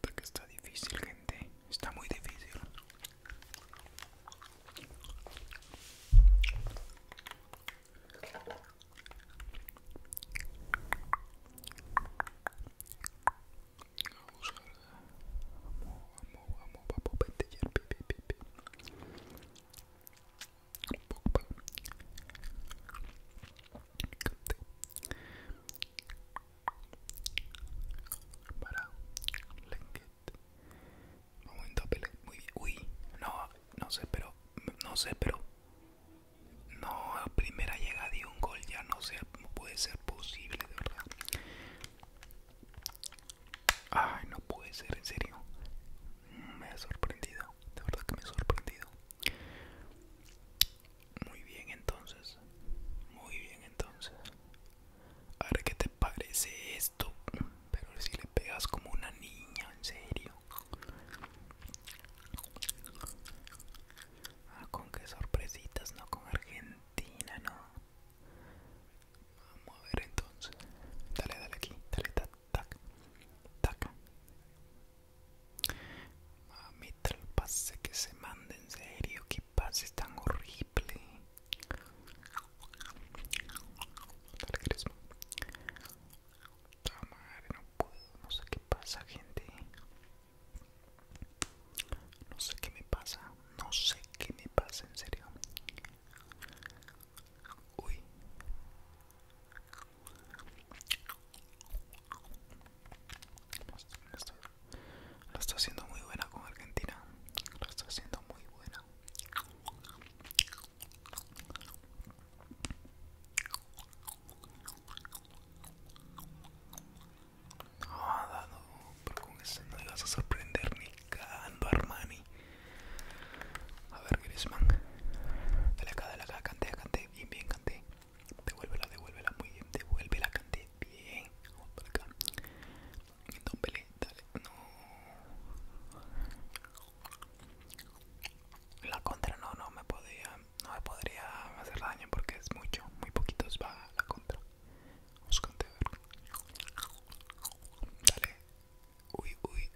Speaker 1: Porque está difícil, gente. Está muy difícil. Vamos, vamos, vamos, para Lenket. Momento pele, Muy bien. Uy, no, no sé, pero, No sé, pero No, primera llegada y un gol ya no sé, cómo puede ser posible, de verdad. Ay, no puede ser, en serio. Me ha sorprendido, de verdad que me ha sorprendido. Muy bien entonces, muy bien entonces. A ver qué te parece esto. Pero si le pegas como una niña, en serio. Ah, con qué sorpresitas, no con Argentina, no. Vamos a ver entonces. Dale, dale aquí, dale, tac, tac, pase que se manda, en serio pase tan horrible. no puedo. No sé qué pasa, gente. No sé qué me pasa. No sé qué me pasa, en serio. Uy. La está haciendo muy buena con Argentina. La está haciendo muy buena. No, no, pero con ese no vas a sorprender ni a Armani. A ver, Griezmann. Dale acá, dale acá, canté, canté, bien, bien, cante Devuélvela, devuélvela, muy bien, devuélvela, cante, bien. Vamos por acá. No dale. No. La contra no, no me podía. No me podría hacer daño porque es mucho. Muy poquitos va la contra. Vamos Dale. Uy, uy.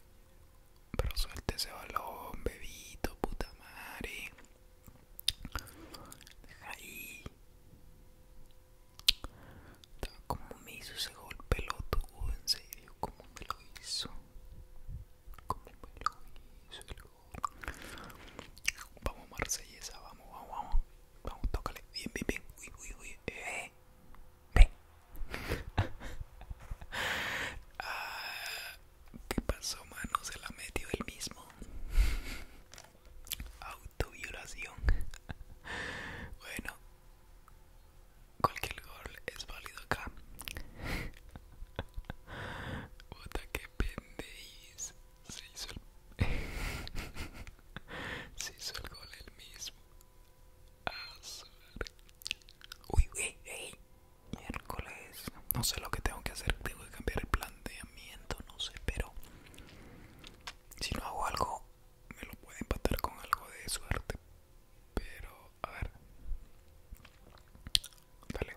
Speaker 1: Pero suelte ese balón, bebito, puta madre. Deja ahí. ¿Cómo me hizo ese gol peloto, En serio, ¿cómo me lo hizo? ¿Cómo me lo hizo el gol? Vamos, Marsellesa, vamos, vamos, vamos. Vamos, tócale. Bien, bien, bien. Uy, uy, uy. Eh, <laughs> ah, ¿Qué pasó, mano? Se la metió él mismo. Autoviolación. <laughs> bueno, cualquier gol es válido acá. <laughs> Puta que pendeis Se hizo el. <laughs> Se hizo el gol el mismo. Uy, uy, uy. Miércoles. No sé lo que tengo que hacer. Tengo que cambiar el planteamiento. No sé, pero si no hago algo me lo puede empatar con algo de suerte pero a ver dale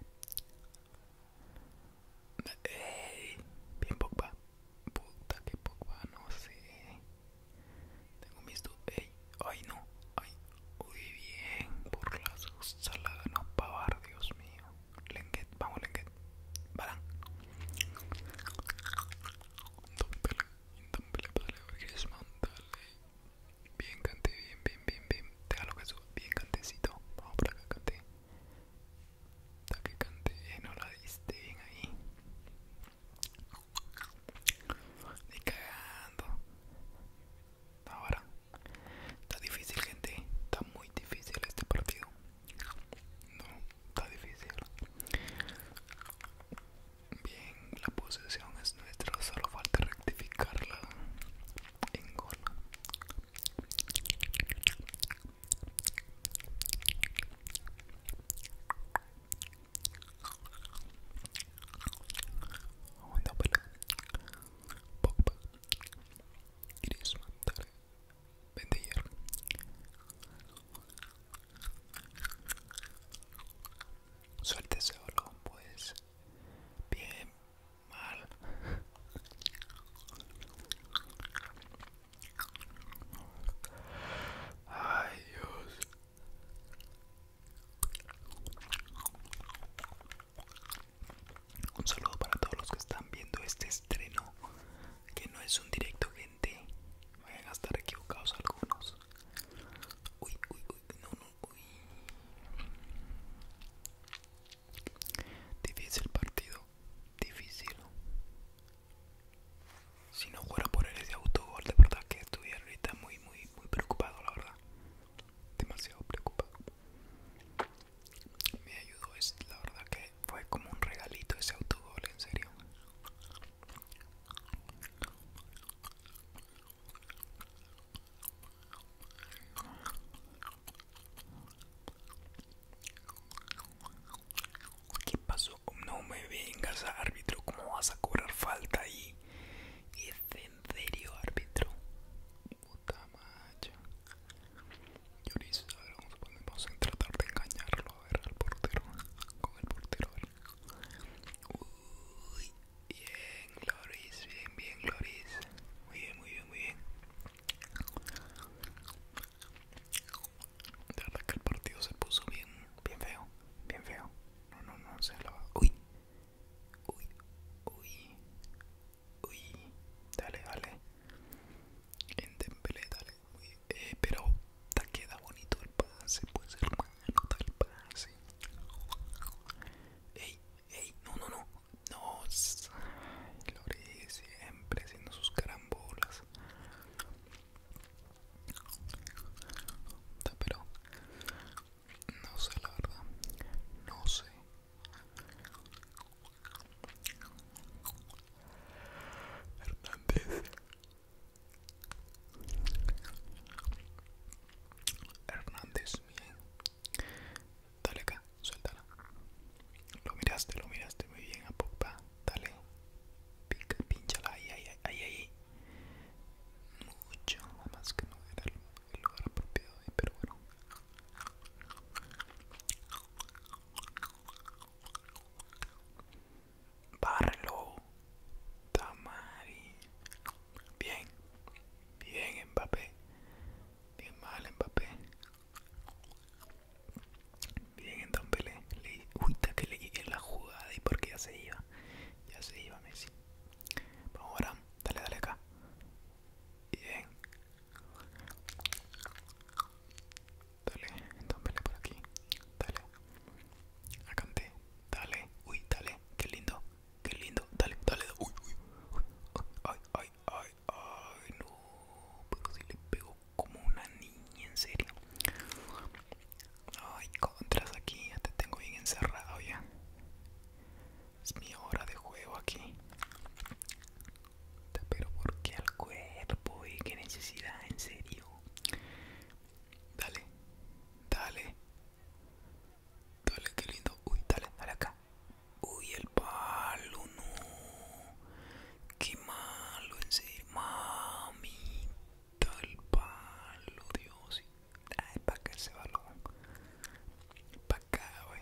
Speaker 1: Bien Pogba Puta que Pogba, no sé Tengo mis dudas ¡Ey! ¡Ay no! ¡Ay! ¡Uy bien! Por las saladas, no pavar, Dios mío Lenguet, vamos Lenguet, Balan. Bien cante, bien, bien, bien, bien. lo que sube, bien cantecito. Vamos para acá, cante. Hasta que cante, eh, no la diste bien ahí. cagando. Ahora. Está difícil, gente. Está muy difícil este partido. No, está difícil. Bien, la posición es nuestra, solo falta rectificarla en gol. Pogba. Vente Suelte Suerte ese pues. Bien, mal. Ay, Dios. Un saludo para todos los que están viendo este estreno, que no es un directo Vayan a estar equivocados algunos. Uy, uy, uy, no, no, Difícil partido, difícil. Si no fuera por el ese autogol, de verdad que estuviera ahorita muy, muy, muy preocupado, la verdad. Demasiado preocupado. Me ayudó, es la verdad que fue como un regalito ese autogol, en serio. ¿Qué pasó? No me vengas, árbitro. ¿Cómo vas a cobrar falta ahí? ¿Es en serio, árbitro? Puta macho. Lloris, a ver, vamos, a tratar de engañarlo, a ver, al portero, con el portero, a Uy, bien, Loris, bien, bien, Loris. Muy bien, muy bien, muy bien. De verdad que el partido se puso bien, bien feo, bien feo. No, no, no, se lo Uy, uy, uy, uy. Dale, dale. En temple, dale, eh, pero te queda bonito el pase, pues hermano, da el pase. Ey, ey, no, no, no, no, lo Lore siempre haciendo sus carambolas. Pero no sé la verdad, no sé. Hernández Hernández, bien Dale acá, suéltala Lo miraste, lo miraste muy bien a popa, Dale, Pica, pinchala, ahí, ahí, ahí, ay. Mucho, más que no era el, lugar apropiado eh, pero bueno Barlo, Tamari. Bien, bien Mbappé. Bien mal Mbappé. Bien le Pele, Uy, que le llegue la jugada y porque ya se iba. Ya se iba Messi. Vamos ahora, dale, dale acá. Bien. Dale, entonces por aquí. Dale. Acante. Dale. Uy, dale. Qué lindo. Qué lindo. Dale, dale. Uy, uy. uy. Ay, ay, ay, ay. No. Pero sí le pego como una niña, en serio. Ay, contras aquí. Ya te tengo bien encerrado ya. Es mi hora de juego aquí. Pero ¿por qué al cuerpo? ¿Y eh, qué necesidad? ¿En serio? Dale, dale. Dale, qué lindo. Uy, dale, dale acá. Uy, el palo, no. Qué malo, en serio. Mamita, el palo, Dios. Ay, para acá ese balón. Para acá, güey.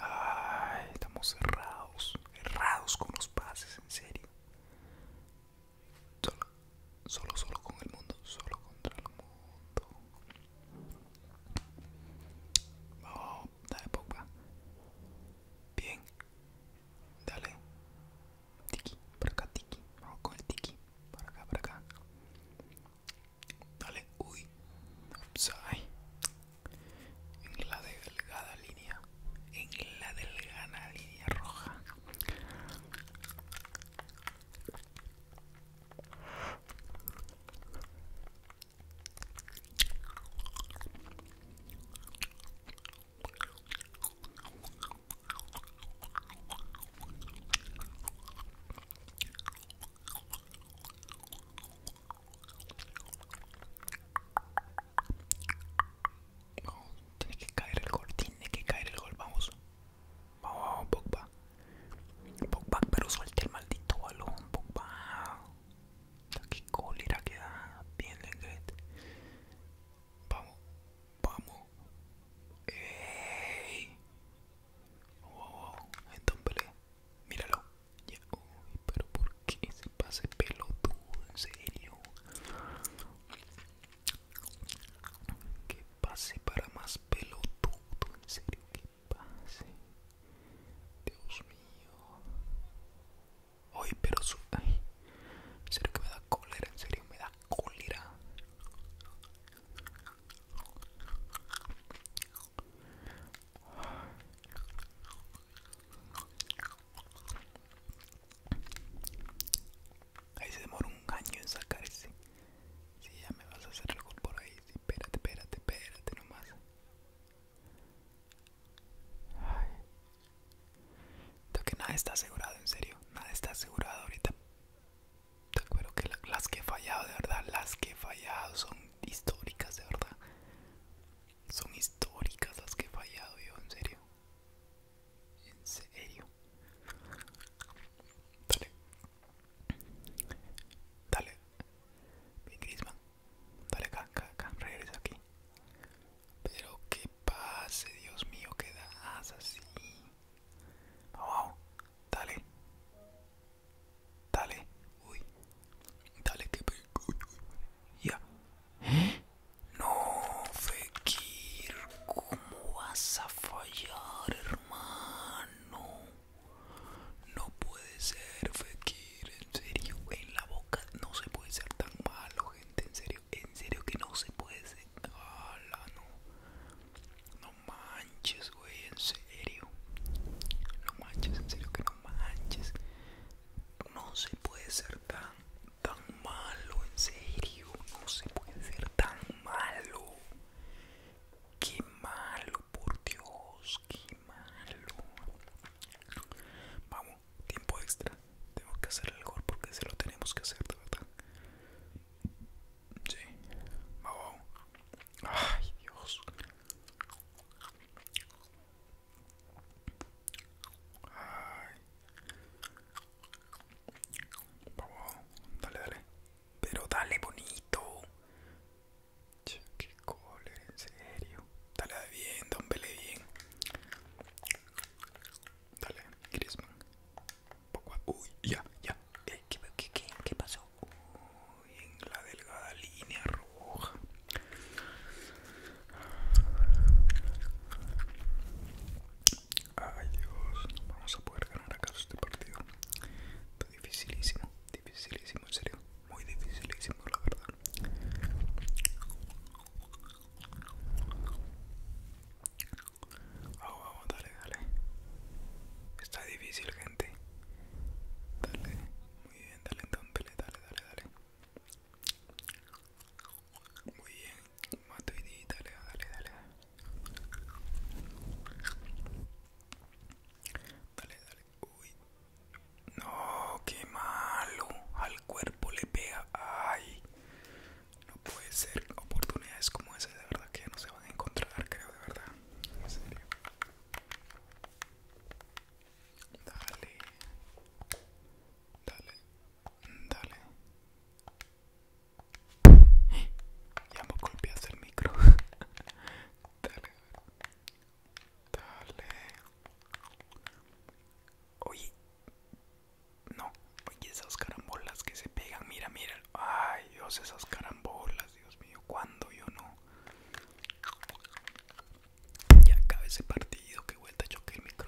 Speaker 1: Ay, estamos cerrados. Errados con los pases, en serio. Solo, solo, solo con el mundo, solo contra el mundo. Vamos, oh, dale popa Bien. Dale. Tiki, para acá, tiki. Vamos con el tiki. Para acá, para acá. Dale, uy. ahí En la delgada en la delgada línea roja tiene que caer el gol, tiene que caer el gol, vamos. Vamos, vamos, Pogba. Pogba, pero suelte el maldito balón, Pogba. Qué cólera que da, bien Vamos, vamos. ¡Ey! Wow, míralo. pero ¿por que se pase pelotudo, en serio. Que pase para más pelotudo, en serio, que pase. Dios mío. Ay, pero Ay, en serio que me da cólera, en serio me da cólera. Ahí se demoró un año en ese. Si sí, ya me vas a hacer algo por ahí. espérate, espérate, espérate nomás. Ay. Creo que nada está asegurado, en serio. Nada está asegurado ahorita. Te acuerdo que las que he fallado, de verdad, las que he fallado son históricas, de verdad. Son históricas las que he fallado yo, en serio. En serio. Dale. Dale. Mi crisma Dale can acá, Regresa aquí. Pero que pase, Dios mío, quedas das así. Vamos, Dale. Dale. Uy. Dale que... Ya. No, Fekir, ¿cómo vas a fallar, hermano? No puede ser, Fekir, en serio, en la boca no se puede ser tan malo, gente, en serio, en serio que no se puede ser. ¡Hala, no! No manches, güey, en serio. No manches, en serio que no manches. No se puede ser tan tan malo, en serio, no se puede ser tan malo. Qué malo, por Dios, qué malo. Vamos, tiempo extra. Tengo que hacer el porque se lo tenemos que hacer, de verdad. Sí, vamos. Ay, Dios dale, dale. Pero dale bonito. Che, qué cólera, en serio. Dale bien, dombele bien. Dale, Griezmann. Uy, ya, ya. Eh, qué, qué pasó? Uy, en la delgada línea roja. Ay Dios, vamos a poder ganar acaso este partido. Está dificilísimo, dificilísimo, en serio. Muy dificilísimo, la verdad. Vamos, vamos, dale, dale. Está difícil, gente. Dale, muy bien, dale, entonces, dale, dale, dale. Muy bien, Matuidi, dale, dale, dale. Dale, dale. Uy. No, qué malo. Al cuerpo le pega. Ay. No puede ser. Oportunidades como esas de verdad que no se van a encontrar, creo, de verdad. En serio. Dale. Dale. Dale. Ya me golpeaste el micro. <laughs> Dale. Dale. Oye. No. Oye, esas carambolas que se pegan. Mira, mira. Ay, Dios, esas carambolas. Dios mío, ¿cuándo yo no? Ya acaba ese partido. Que vuelta choque el micro. <laughs>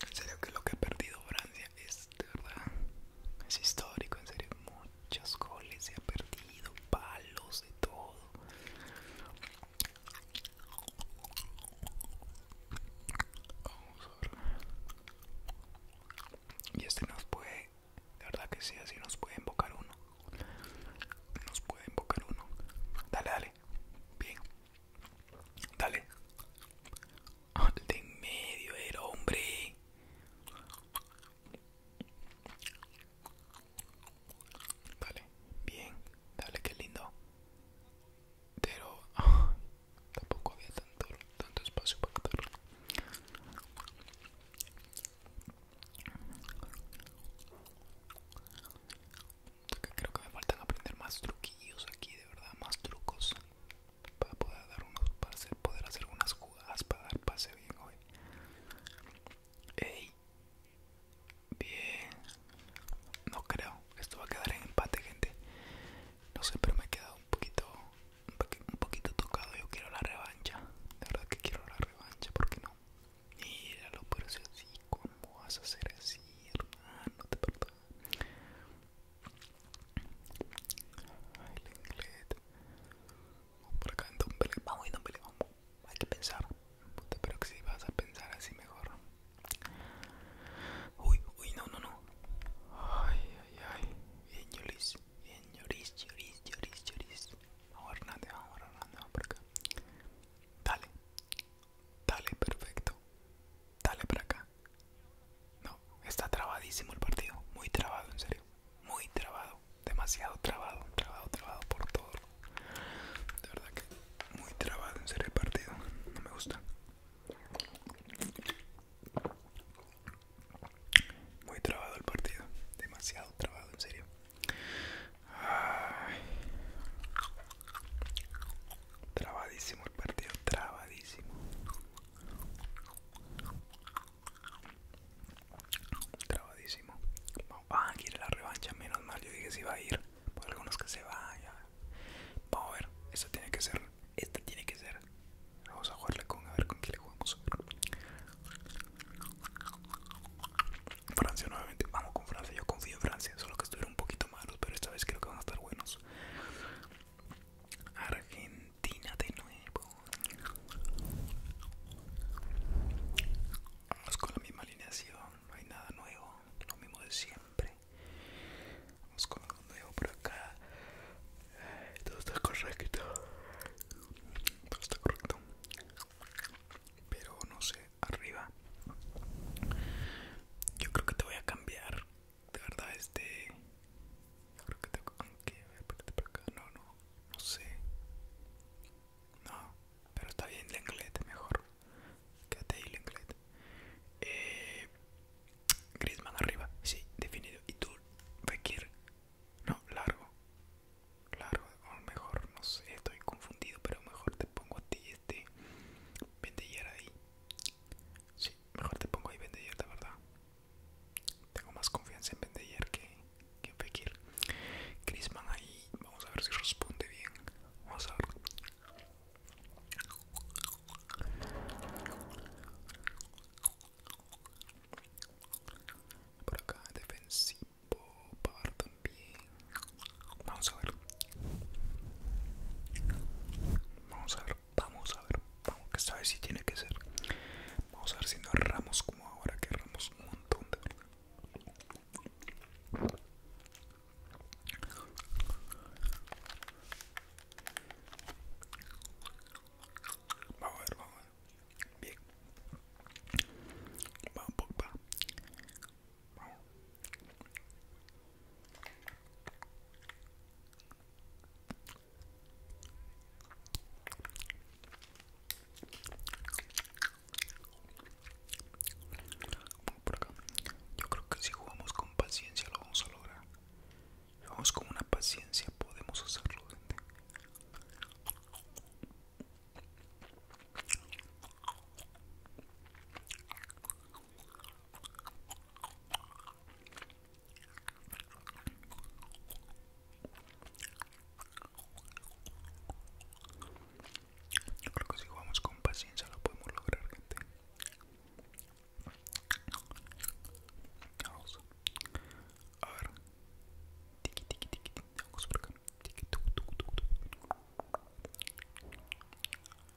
Speaker 1: En serio que lo que ha perdido Francia es de verdad. Es histórico, en serio. Muchas goles se ha perdido, palos de todo. Vamos Y este nos puede, de verdad que sí, así nos puede invocar uno. Nos puede invocar uno. Dale, dale. Bien. Dale. Al ah, de en medio era hombre. Dale, bien, dale, qué lindo. Pero ah, tampoco había tanto, tanto espacio para hacerlo Creo que me faltan aprender más truquillos aquí, de verdad, más trucos para poder dar unos, hacer, poder hacer unas jugadas para dar pase bien hoy. Ey, bien, no creo, esto va a quedar en empate, gente. No sé, pero me he quedado un poquito, un poquito tocado. Yo quiero la revancha, de verdad que quiero la revancha, por qué no. Míralo, pero si así, ¿cómo vas a hacer así, hermano? Te perdono. Ay, el inglés. Vamos por acá, entonces, vamos, entonces, vamos. Hay que pensar. Puta, pero que si vas a pensar así mejor. Uy, uy, no, no, no. Ay, ay, ay. Bien, Yolis. Bien, yoris, yoris Yolis, Vamos, Hernández, vamos, vamos por acá. Dale. Dale, perfecto. Dale para acá. No, está trabadísimo el partido. Muy trabado, en serio. Muy trabado. Demasiado trabado. Trabado, trabado por todo. De verdad que muy trabado, en serio, el partido. No me gusta. Muy trabado el partido. Demasiado trabado, en serio. Trabadísimo el partido, trabadísimo. Trabadísimo. vamos ah, ir a la revancha, menos mal. Yo dije si va a ir. Por algunos que se vaya. Vamos a ver. Esta tiene que ser. Esta tiene que ser. Vamos a jugarle con. A ver con qué le jugamos. Francia nuevamente, vamos con Francia, yo confío en Francia, solo que estuvieron un poquito malos, pero esta vez creo que van a estar buenos. Argentina de nuevo. Vamos con la misma alineación, no hay nada nuevo, lo mismo de siempre. Vamos con algo nuevo por acá. Todo está correcto. Todo está correcto. Pero no sé, arriba yo creo que te voy a cambiar de verdad este yo creo que te aunque no no no sé no pero está bien lenglete mejor quédate ahí inglés. eh, Griezmann arriba sí definido y tú Fekir no largo Claro, o mejor, no sé, estoy confundido, pero mejor te pongo a ti este Vendillar ahí. Sí, mejor te pongo ahí Vendillar, de verdad. Tengo más confianza en Vendillar que, que en Fekir. Crisman ahí, vamos a ver si responde bien. Vamos a ver. Por acá, defensivo también vamos a ver vamos a ver vamos a ver vamos que esta si tiene que ser vamos a ver si no erramos como ahora que erramos un montón de verdad Vamos a ver, vamos a ver. Bien. Vamos, yo creo que si jugamos con paciencia lo vamos a lograr. Si vamos con una paciencia podemos hacerlo, yo creo que si jugamos con paciencia lo podemos lograr, gente. A ver por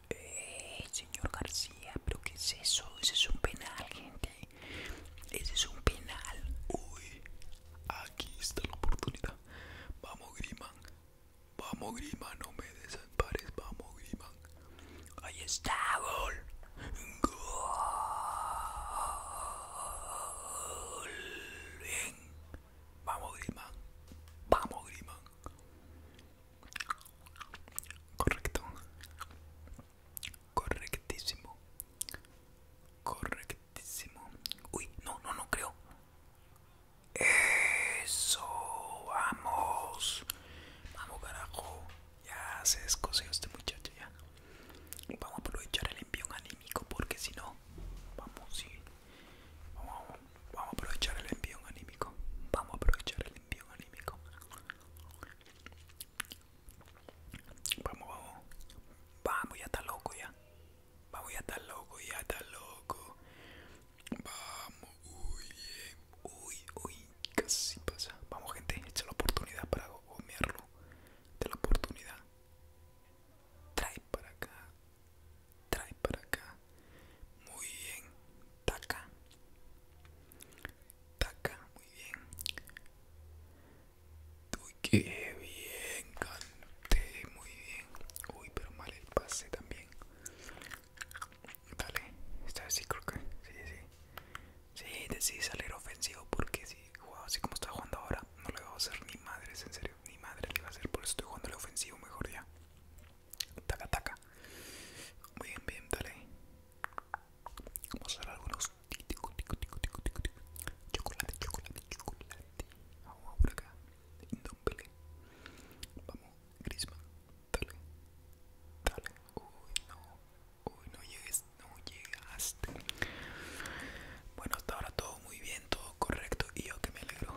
Speaker 1: eh, acá. señor García, pero ¿qué es eso? Ese es un penal, gente. Ese es un penal. Uy, aquí está la oportunidad. Vamos, Griman. Vamos, Griman, no me desampares. Vamos, Griman. Ahí está, gol. Gol. Bien. Vamos Griezmann, vamos grima, Correcto. Correctísimo. Correctísimo. Uy, no, no, no creo. Eso, vamos. Vamos, carajo. Ya se descoseó este muchacho ya. Vamos a aprovechar el envión anímico porque si no, vamos, sí. Vamos, vamos a aprovechar el envío anímico. Vamos a aprovechar el envío anímico. Vamos, vamos. Vamos, ya está loco ya. Vamos, ya está loco, ya está loco. Vamos, uy, uy, uy. Casi pasa. Vamos, gente, echa la oportunidad para gomearlo. De la oportunidad. Trae para acá trae para acá muy bien taca taca muy bien uy qué bien canté muy bien uy pero mal el pase también Dale, está así creo que sí, sí. Sí, decidí salir ofensivo porque si jugaba así como está jugando ahora, no le voy a hacer ni madres, en serio. Mi madre le va a hacer, por eso estoy jugando el ofensivo mejor ya. Taca, taca. Muy bien, bien, dale. Vamos a hacer algunos. Chocolate, chocolate, chocolate. Vamos por acá. Vamos, Grisman. Dale. Dale. Uy, no. Uy, no llegues. No llegaste. Bueno, hasta ahora todo muy bien, correcto y yo que me alegro.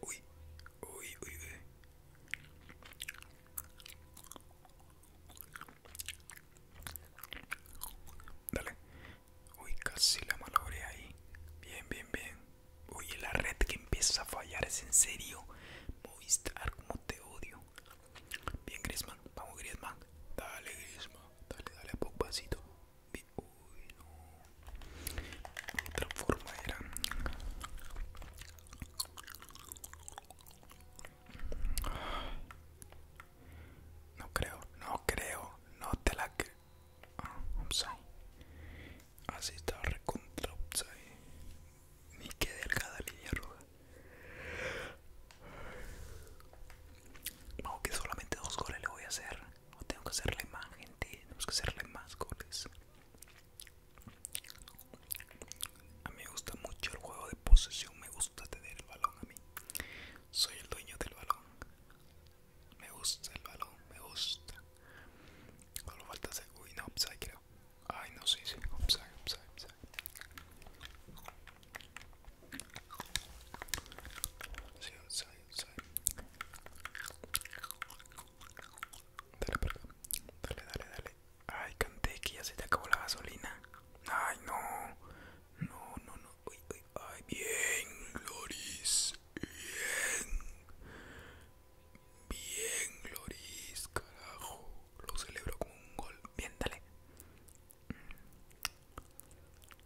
Speaker 1: Uy, uy, uy, uy. Dale. Uy, casi la malabré ahí. Bien, bien, bien. Uy, la red que empieza a fallar es en serio. Movistar, como te odio. Bien, Griezmann. Vamos, Griezmann. Dale, Griezmann. Dale, dale a pasito. Uy, no. Otra forma era. No creo, no creo, no te la que... Así está recontra upside. Ni que delgada línea roja. No, que solamente dos goles le voy a hacer. No tengo que hacerle más, gente. tengo que hacerle más goles. A mí me gusta mucho el juego de posesión, me gusta tener el balón a mí. Soy el dueño del balón. Me gusta el balón, me gusta. Solo falta hacer... Uy, no, upside creo. Ay, no, sí, sí, upside, upside, upside. Sí, upside, upside. Dale, perdón. Dale, dale, dale. Ay, canté que ya se te acabó la gasolina. Ay, no. No, no, no. Uy, uy, ay, bien, Loris. Bien. Bien, Loris, carajo. Lo celebro con un gol. Bien, dale.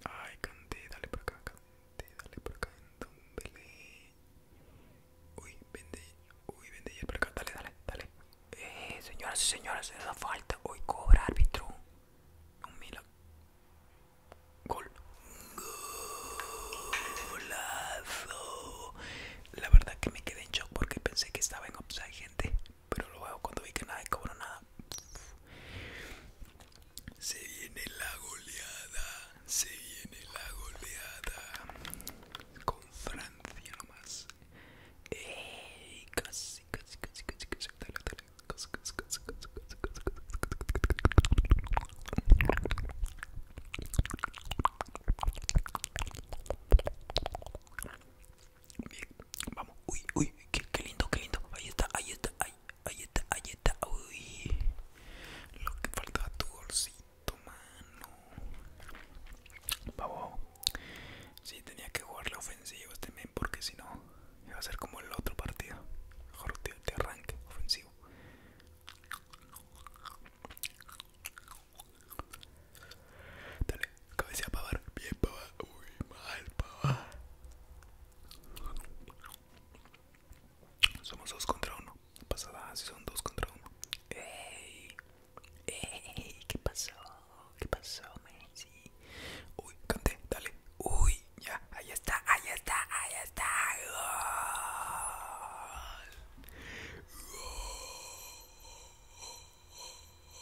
Speaker 1: Ay, canté, dale por acá, canté, dale por acá, entonces. Uy, vende, uy, vende y por acá, dale, dale, dale. Eh, señoras y señores, es falta. Hoy cobra árbitro. Un Gol. Golazo. La verdad que me quedé en shock porque pensé que estaba en offside, gente. Pero luego cuando vi que nadie cobró nada. Se viene la goleada se viene la goleada con Francia más casi, casi, casi, casi, casi, casi, casi, casi, casi, casi, casi, casi vamos, uy, uy, qué, lindo, qué lindo. Ahí está, ahí está, ahí, ahí está, ahí está, uy. Lo que falta tu bolsillo. Tu mano. Pavo. Sí, tenía que jugar la ofensiva también este porque si no iba a ser como el otro partido. Mejor te, arranque ofensivo. Dale, cabeza pavar. Bien pavar. Uy, mal pavar. Somos dos contra uno pasada si son dos contra uno. Hey, hey, ¿Qué pasó? ¿Qué pasó, Messi? Uy, canté, dale. Uy, ya, ahí está, ahí está, ahí está.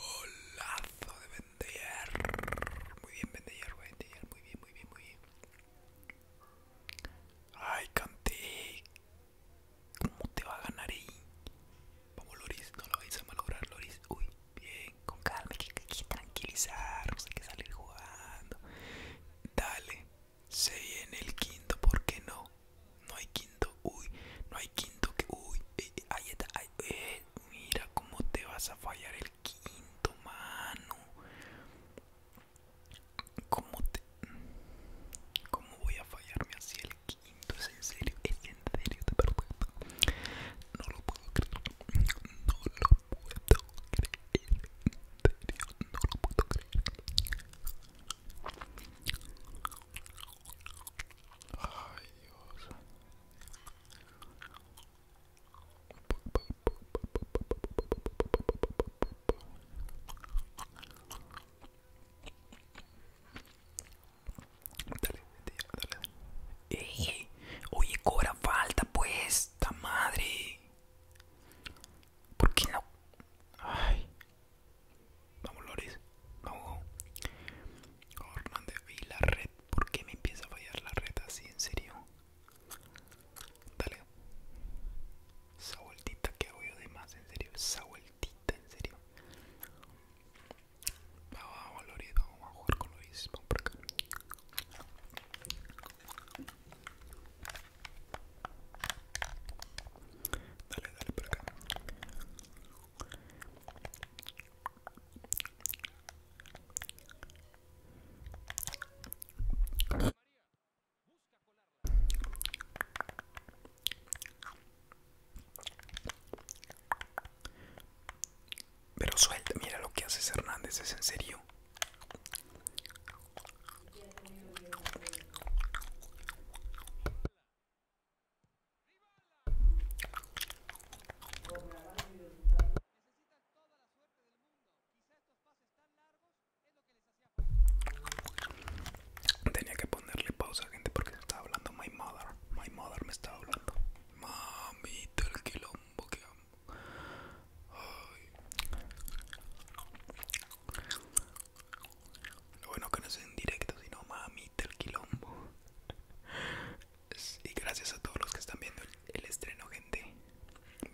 Speaker 1: Golazo de Vender. Muy bien, Vender, Muy bien, muy bien, muy bien. Ay, canté. ¿Cómo te va a ganar ahí? Vamos Loris, no lo vais a malograr Loris Uy, bien, con calma, hay que, tranquilizarnos, hay que salir jugando Dale, se viene el quinto, ¿por qué no? No hay quinto, uy, no hay quinto que, uy, eh, eh, ahí está, eh, mira cómo te vas a fallar el quinto, mano ¿Cómo te... ¿Cómo voy a fallarme así el quinto? en serio? ¿Es en serio? ¿Te No lo puedo creer. No lo puedo creer. En serio, no lo puedo creer. Ay, Dios. Dale, dale, oye, cobra falta, pues. ¡Ta madre! ¿Por qué no? Ay. Vamos, Loris. Vamos. Hernández, y la red. ¿Por qué me empieza a fallar la red así? ¿En serio? Dale. Esa vueltita que hago yo de más, en serio, esa vueltita, en serio. Vamos a vamos a jugar con lo vamos por acá. Dale, dale por acá. Pero suelta, mira lo que haces Hernández ¿Es en serio? Necesitas toda la suerte del mundo Y estos pases tan largos Tenía que ponerle pausa, gente, porque se estaba hablando my mother. My mother me estaba hablando. Mamita, el quilombo que amo. Lo bueno que no es en directo, sino mamita, el quilombo. Y gracias a todos los que están viendo el, estreno, gente.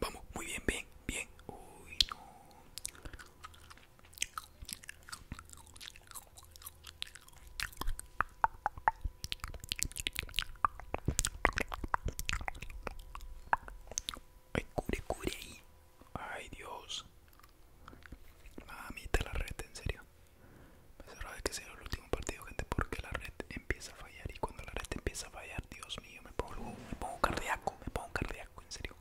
Speaker 1: Vamos, muy bien, bien, bien. Uy, no. Ay, cure, cure ahí. Ay, Dios. Mami, te la red, en serio. Me cerraba de que sea el último partido, gente, porque la red empieza a fallar. Y cuando la red empieza a fallar, Dios mío, me pongo, me pongo cardíaco, me pongo cardíaco, en serio.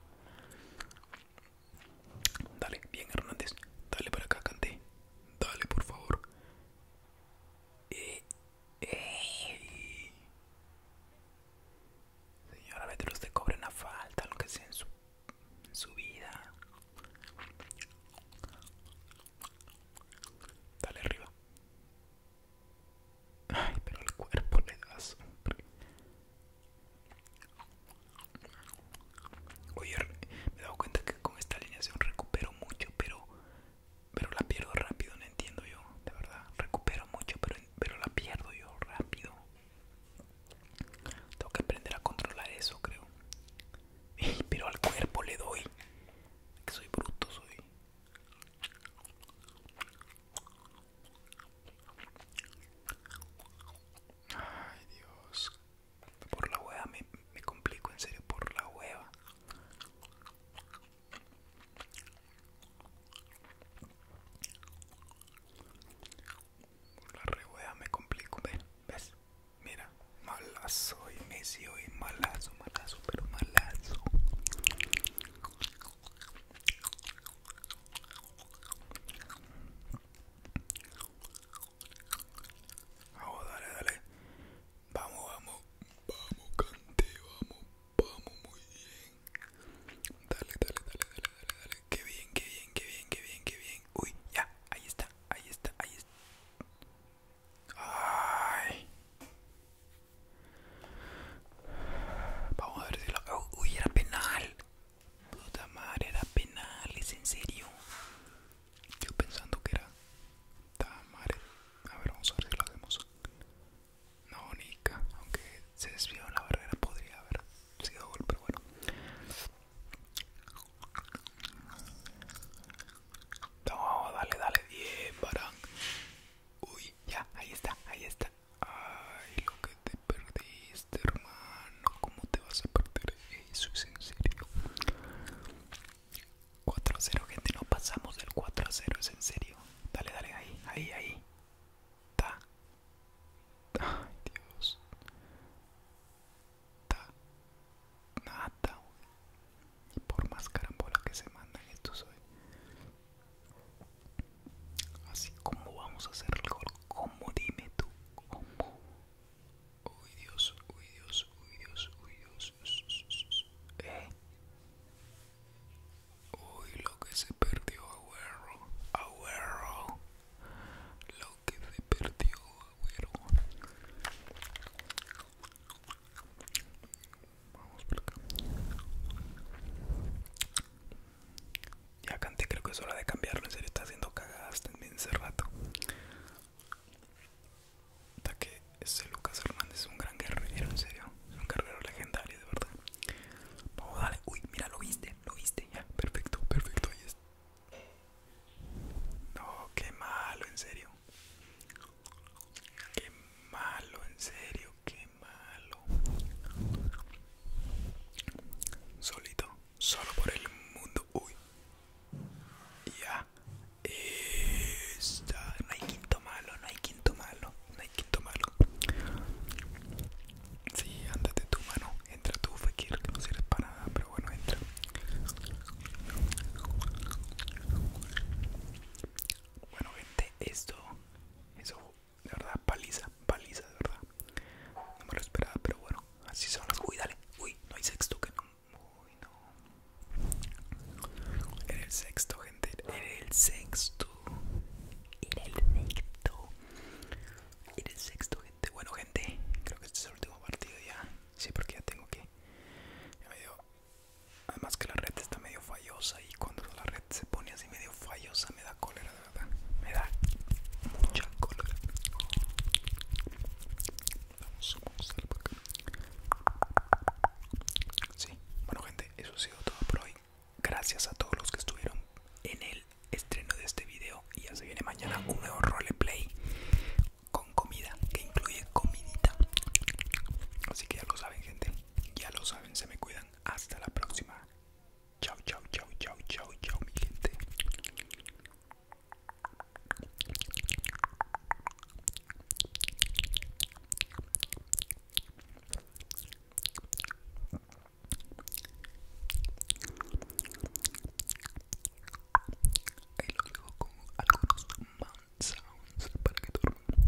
Speaker 1: Dale, bien Hernández, dale para acá, Canté. Dale, por favor. Eh, eh. Señora los te cobre una falta, lo que sea en su, su vida. Dale arriba. Ay, pero el cuerpo le das. Oye, me he dado cuenta que con esta alineación recupero mucho, pero pero la pierdo rápido, no entiendo yo, de verdad. Recupero mucho, pero, pero la pierdo yo rápido. Tengo que aprender a controlar eso, creo. Pero al cuerpo le doy. Que soy bruto, soy. Ay Dios, por la hueva me, complico, en serio, por la hueva. Por la re wea me complico, ves, mira, malazo y Messi hoy, malazo, malazo, pero malazo. Vamos, dale, dale. Vamos, vamos. Vamos, cante, vamos. Vamos, muy bien. Dale, dale, dale, dale, dale, dale. Qué bien, qué bien, qué bien, qué bien, qué bien. Uy, ya, ahí está, ahí está, ahí está. Ay. Vamos a ver si lo... Oh, uy, era penal. Puta madre, era penales, en serio. Yo pensando que era. Puta A ver, vamos a ver si lo hacemos. No, Nika, aunque se desvió la barrera, podría haber sido gol, pero bueno. No, dale, dale, 10 para Uy, ya, ahí está, ahí está. Ay, lo que te perdiste, hermano. ¿Cómo te vas a perder eso? Es en serio. 4 0, gente. No pasamos del 4 0. Es en serio. Dale, dale, ahí, ahí, ahí. Ta. Ay, Dios. Ta. Nada, y por más carambola que se mandan estos hoy Así como vamos a hacerlo, el Dime tú. como Uy Dios, uy Dios, uy Dios, uy Dios. ¿Eh? Uy, lo que se perdió, agüero. Agüero. Lo que se perdió, agüero. Vamos por acá. Ya canté, creo que es hora de cambiarlo. En serio, está haciendo cagadas también ese rato. Hasta que ese Lucas Hernández es un gran guerrero, en serio. Es un guerrero legendario, de verdad. Vamos, dale. Uy, mira, lo viste, lo viste. Ya, perfecto, perfecto. Ahí está. No, qué malo, en serio. Qué malo, en serio, qué malo. Solito solo por el mundo uy ya está no hay quinto malo no hay quinto malo no hay quinto malo sí ándate tú mano entra tú fakir que no sirve para nada pero bueno entra bueno gente esto eso de verdad, paliza, paliza, de verdad. No me lo esperaba, pero bueno, así son las. Uy, dale, uy, no hay sexto que no. Uy, no. Era el sexto, gente. Era el sexto. Era el sexto. Era el sexto, gente. Bueno, gente, creo que este es el último partido ya. Sí, porque ya tengo que. Además que la red está medio fallosa y cuando la red se pone así medio fallosa me da cólera me da mucha color Vamos, bueno, gente, eso ha sido todo por hoy. Gracias a todos los que estuvieron en el estreno de este video. Y ya se viene mañana un nuevo roleplay con comida que incluye comidita. Así que ya lo saben, gente. Ya lo saben, se me cuidan. Hasta la próxima. Chao, chao, chao, chao, chao, chao, mi gente. Ahí lo dejo con algunos man sounds para que duerman.